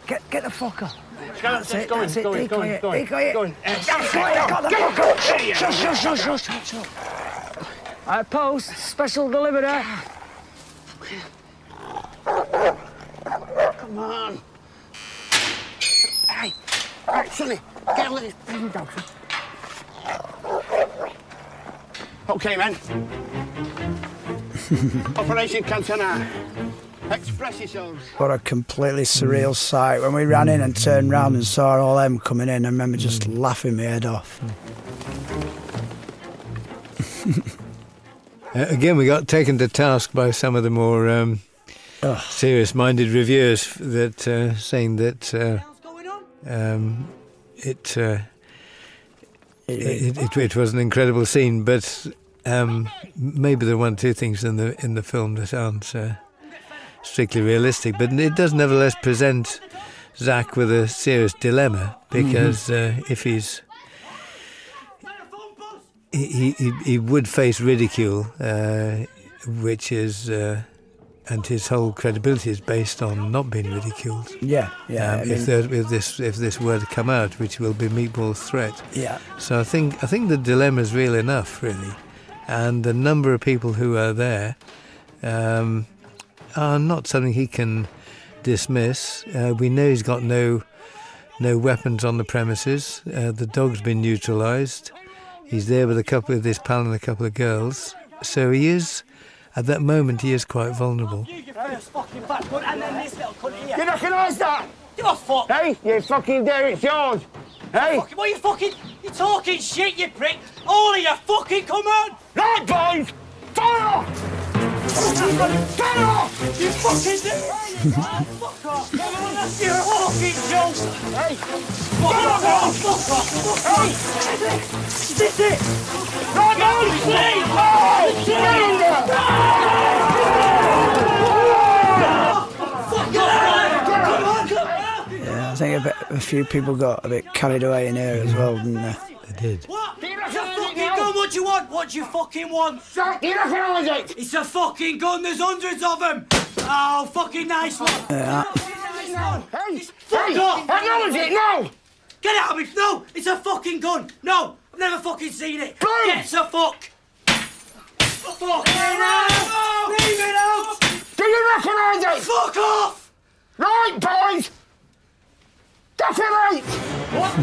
Get, get the fuck up. it, going, that's it. Going, decoy going, it, going, decoy it. Going. That's it, I got the fucker. Shush, shush, shush, shush, shush, shush. I post, special deliverer. Come on. Hey, right, Sonny, get a little dog. Okay, men. Operation Cantona. Express yourselves. What a completely surreal sight. When we ran in and turned round and saw all them coming in, I remember just mm. laughing my head off. Uh, again, we got taken to task by some of the more um, serious-minded reviewers that uh, saying that uh, um, it it, was an incredible scene, but um, maybe there are one two things in the in the film that aren't uh, strictly realistic. But it does nevertheless present Zach with a serious dilemma because mm-hmm. uh, if he's he, he, would face ridicule, uh, which is and his whole credibility is based on not being ridiculed. Yeah, yeah. Um, if, this if this were to come out, which will be Meatball's threat. Yeah. So I think I think the dilemma is real enough, really, and the number of people who are there um, are not something he can dismiss. Uh, we know he's got no no weapons on the premises. Uh, the dog's been neutralised. He's there with a couple of this pal and a couple of girls. So he is at that moment, he is quite vulnerable. You, you fucking backwood, and then this little cunt here. You recognise that? Give a fuck. Hey, you fucking dare, it's yours. Hey? Fucking, what are you fucking... You're talking shit, you prick. All of you fucking, come on. Right, boys. Fire off. Get off! You fucking fuck off! Everyone else, you're a fucking joke! Hey! Fuck off! Fuck off! Hey! Yeah, I think a, few people got a bit carried away in here as well, didn't they? They did. What? Give What you want? What you fucking want? Shut Give us it? It's a fucking gun. There's hundreds of them. Oh, fucking nice one. Yeah. Hey, hey, acknowledge it now! Get out of me! No! It's a fucking gun! No! I've never fucking seen it! Boom! Get the fuck! Fuck! Leave it out! it out! Do you recognise it? Fuck off! Right, boys! Detonate! What?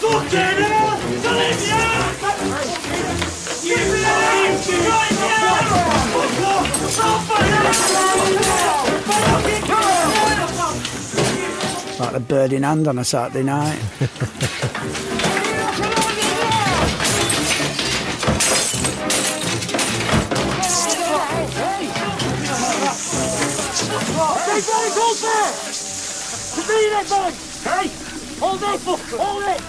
fucking hell! Olivia! You leave! Right now! Fuck off! Stop it! Like a bird in hand on a Saturday night. Hey, buddy, hold To me, then, buddy! Hey! Hold it, hold it!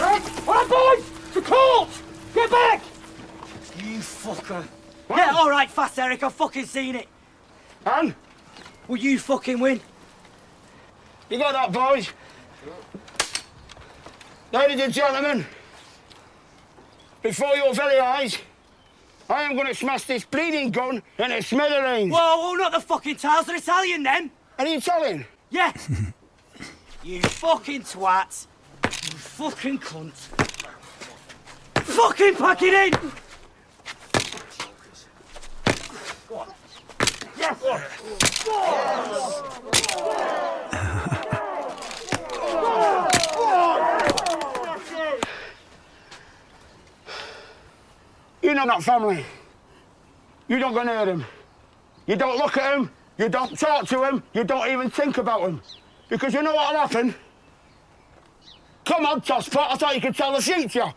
Right? All right, boys! To court! Get back! You fucker. Yeah, all right, fast, Eric. I've fucking seen it. And? Will you fucking win? You got that, boys? Sure. Ladies and gentlemen, before your very eyes, I am going to smash this bleeding gun and its smithereens. Whoa, whoa, not the fucking tiles. They're Italian, then. Are you Italian? Yeah. you fucking twat. You fucking cunt. Fucking pack it in! Go Yes! You're not family. You don't go near them. You don't look at them. You don't talk to him. You don't even think about him. Because you know what'll happen? Come on, tosspot. I thought you could tell the future.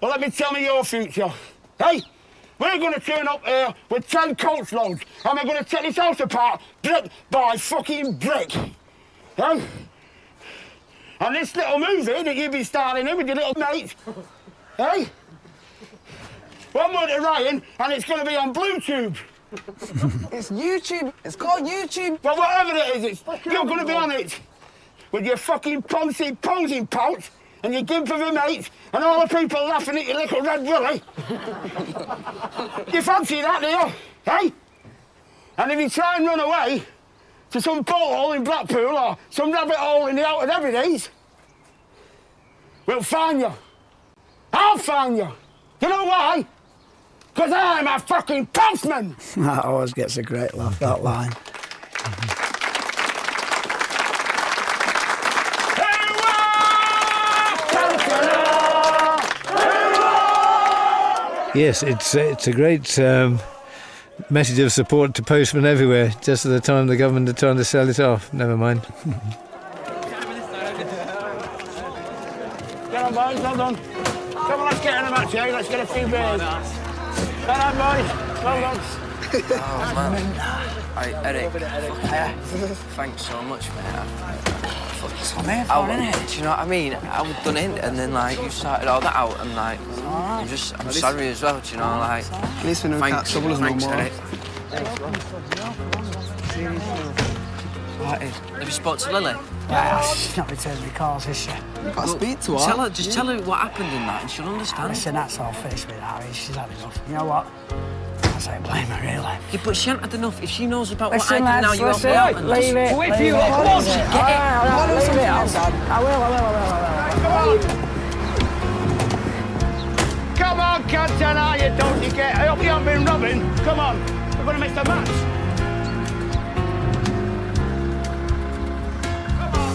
Well, let me tell me your future. Hey, we're going to turn up here with 10 coach loads and we're going to take this house apart brick by fucking brick. Hey? And this little movie that you will be starring in with your little mate, hey? One more to Ryan and it's going to be on Bluetooth it's YouTube. It's called YouTube. But whatever it is, you're going to be on it with your fucking poncey posing pouch and your gimp of a mate and all the people laughing at your little red willy. you fancy that, do Hey? And if you try and run away to some porthole in Blackpool or some rabbit hole in the Outer Hebrides, we'll find you. I'll find you. You know why? Because I'm a fucking postman. that always gets a great laugh, that line. yes, it's, uh, it's a great um, message of support to postmen everywhere, just at the time the government are trying to sell it off. Never mind. Get on, boys, well done. Come on, let's get in the match, eh? Let's get a few beers. Oh, Get on, boys, well done. oh, man. Alright, Eric. Yeah. Thanks so much, man. It's on there, fun, isn't it? Do you know what I mean? I was done it, and then like you started all that out, and like I'm just I'm sorry as well. Do you know like? At least we know thanks, trouble us Eric. What is? Have you spoke to Lily? Nah, she's not returned the calls, is she? You've got to speak to her. Tell her, just yeah. tell her what happened in that and she'll understand. Listen, that's all finished with Harry. She's had enough. You know what? I say blame her, really. Yeah, but she hasn't had enough. If she knows about listen, what I did now, you listen, help me out. Leave and it. Leave just... it. Leave it. Leave it. Right, leave it. I will, I will, I will, I will. Right, come on. Come on, Captain, are you? Don't you get? I hope you haven't been rubbing. Come on, we're gonna miss the match. Come on.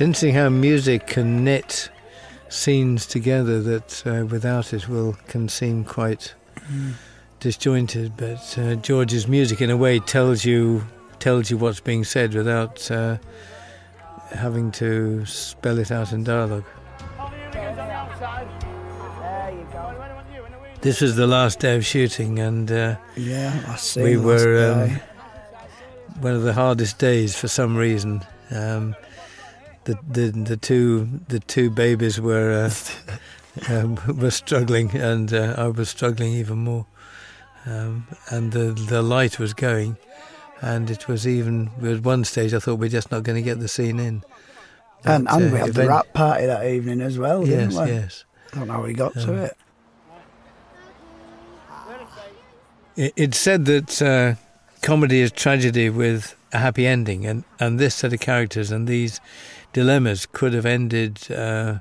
Sensing how music can knit scenes together that uh, without it will can seem quite disjointed. But uh, George's music, in a way, tells you tells you what's being said without uh, having to spell it out in dialogue. This was the last day of shooting, and uh, yeah, We were um, one of the hardest days for some reason. Um, the, the the two the two babies were um, were struggling, and uh, I was struggling even more. Um, and the the light was going, and it was even at one stage I thought we're just not going to get the scene in. and, and uh, we had the wrap party that evening as well, didn't we? Yes, I don't know how we got to um, it. it. It's said that uh, comedy is tragedy with a happy ending, and, and this set of characters and these dilemmas could have ended uh,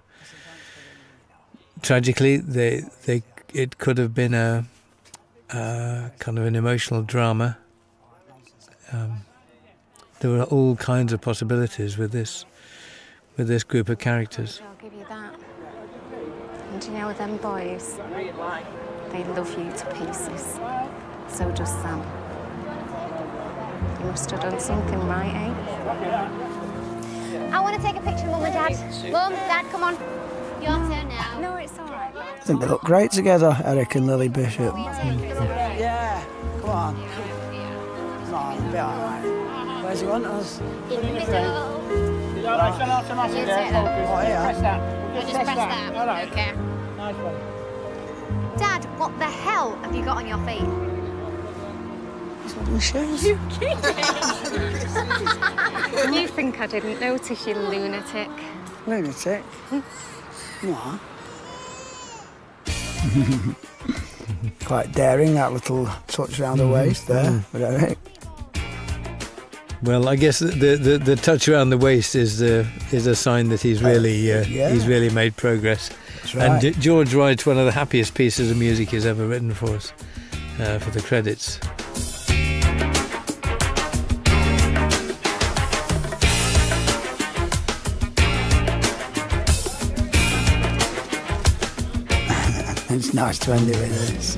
tragically. They they it could have been a, kind of an emotional drama. Um, there were all kinds of possibilities with this with this group of characters. I'll give you that. And you know with them boys? They love you to pieces. So does Sam. You must have done something right, eh? I want to take a picture of Mum and Dad. Mum, Dad, come on. Your turn now. No, it's all right. I think they look great together, Eric and Lily Bishop. Oh, yeah, come on. Come on, be all right. Where's you want us? In the middle. You don't like to turn off the massive there? Oh, yeah. Press that. Just press that. All right. Okay. Nice one. Dad, what the hell have you got on your feet? It's one of my shoes. You kidding? you think I didn't notice, you lunatic. Lunatic? what? Quite daring, that little touch around the mm-hmm. waist there, mm-hmm. Well, I guess the, the, touch around the waist is uh, is a sign that he's uh, really uh, he's really made progress. And George writes one of the happiest pieces of music he's ever written for us uh, for the credits. it's nice to end it with this.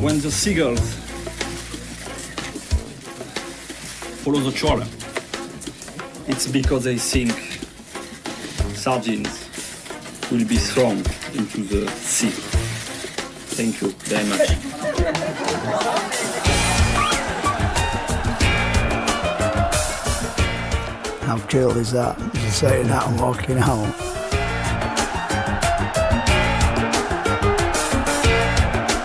When the seagulls follow the chore. It's because I think sardines will be thrown into the sea. Thank you very much. How cool is that? Just saying that and walking home.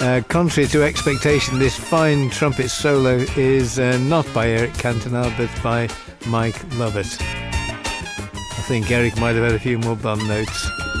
Uh, contrary to expectation, this fine trumpet solo is uh, not by Eric Cantona but by Mike Lovett. I think Eric might have had a few more bum notes.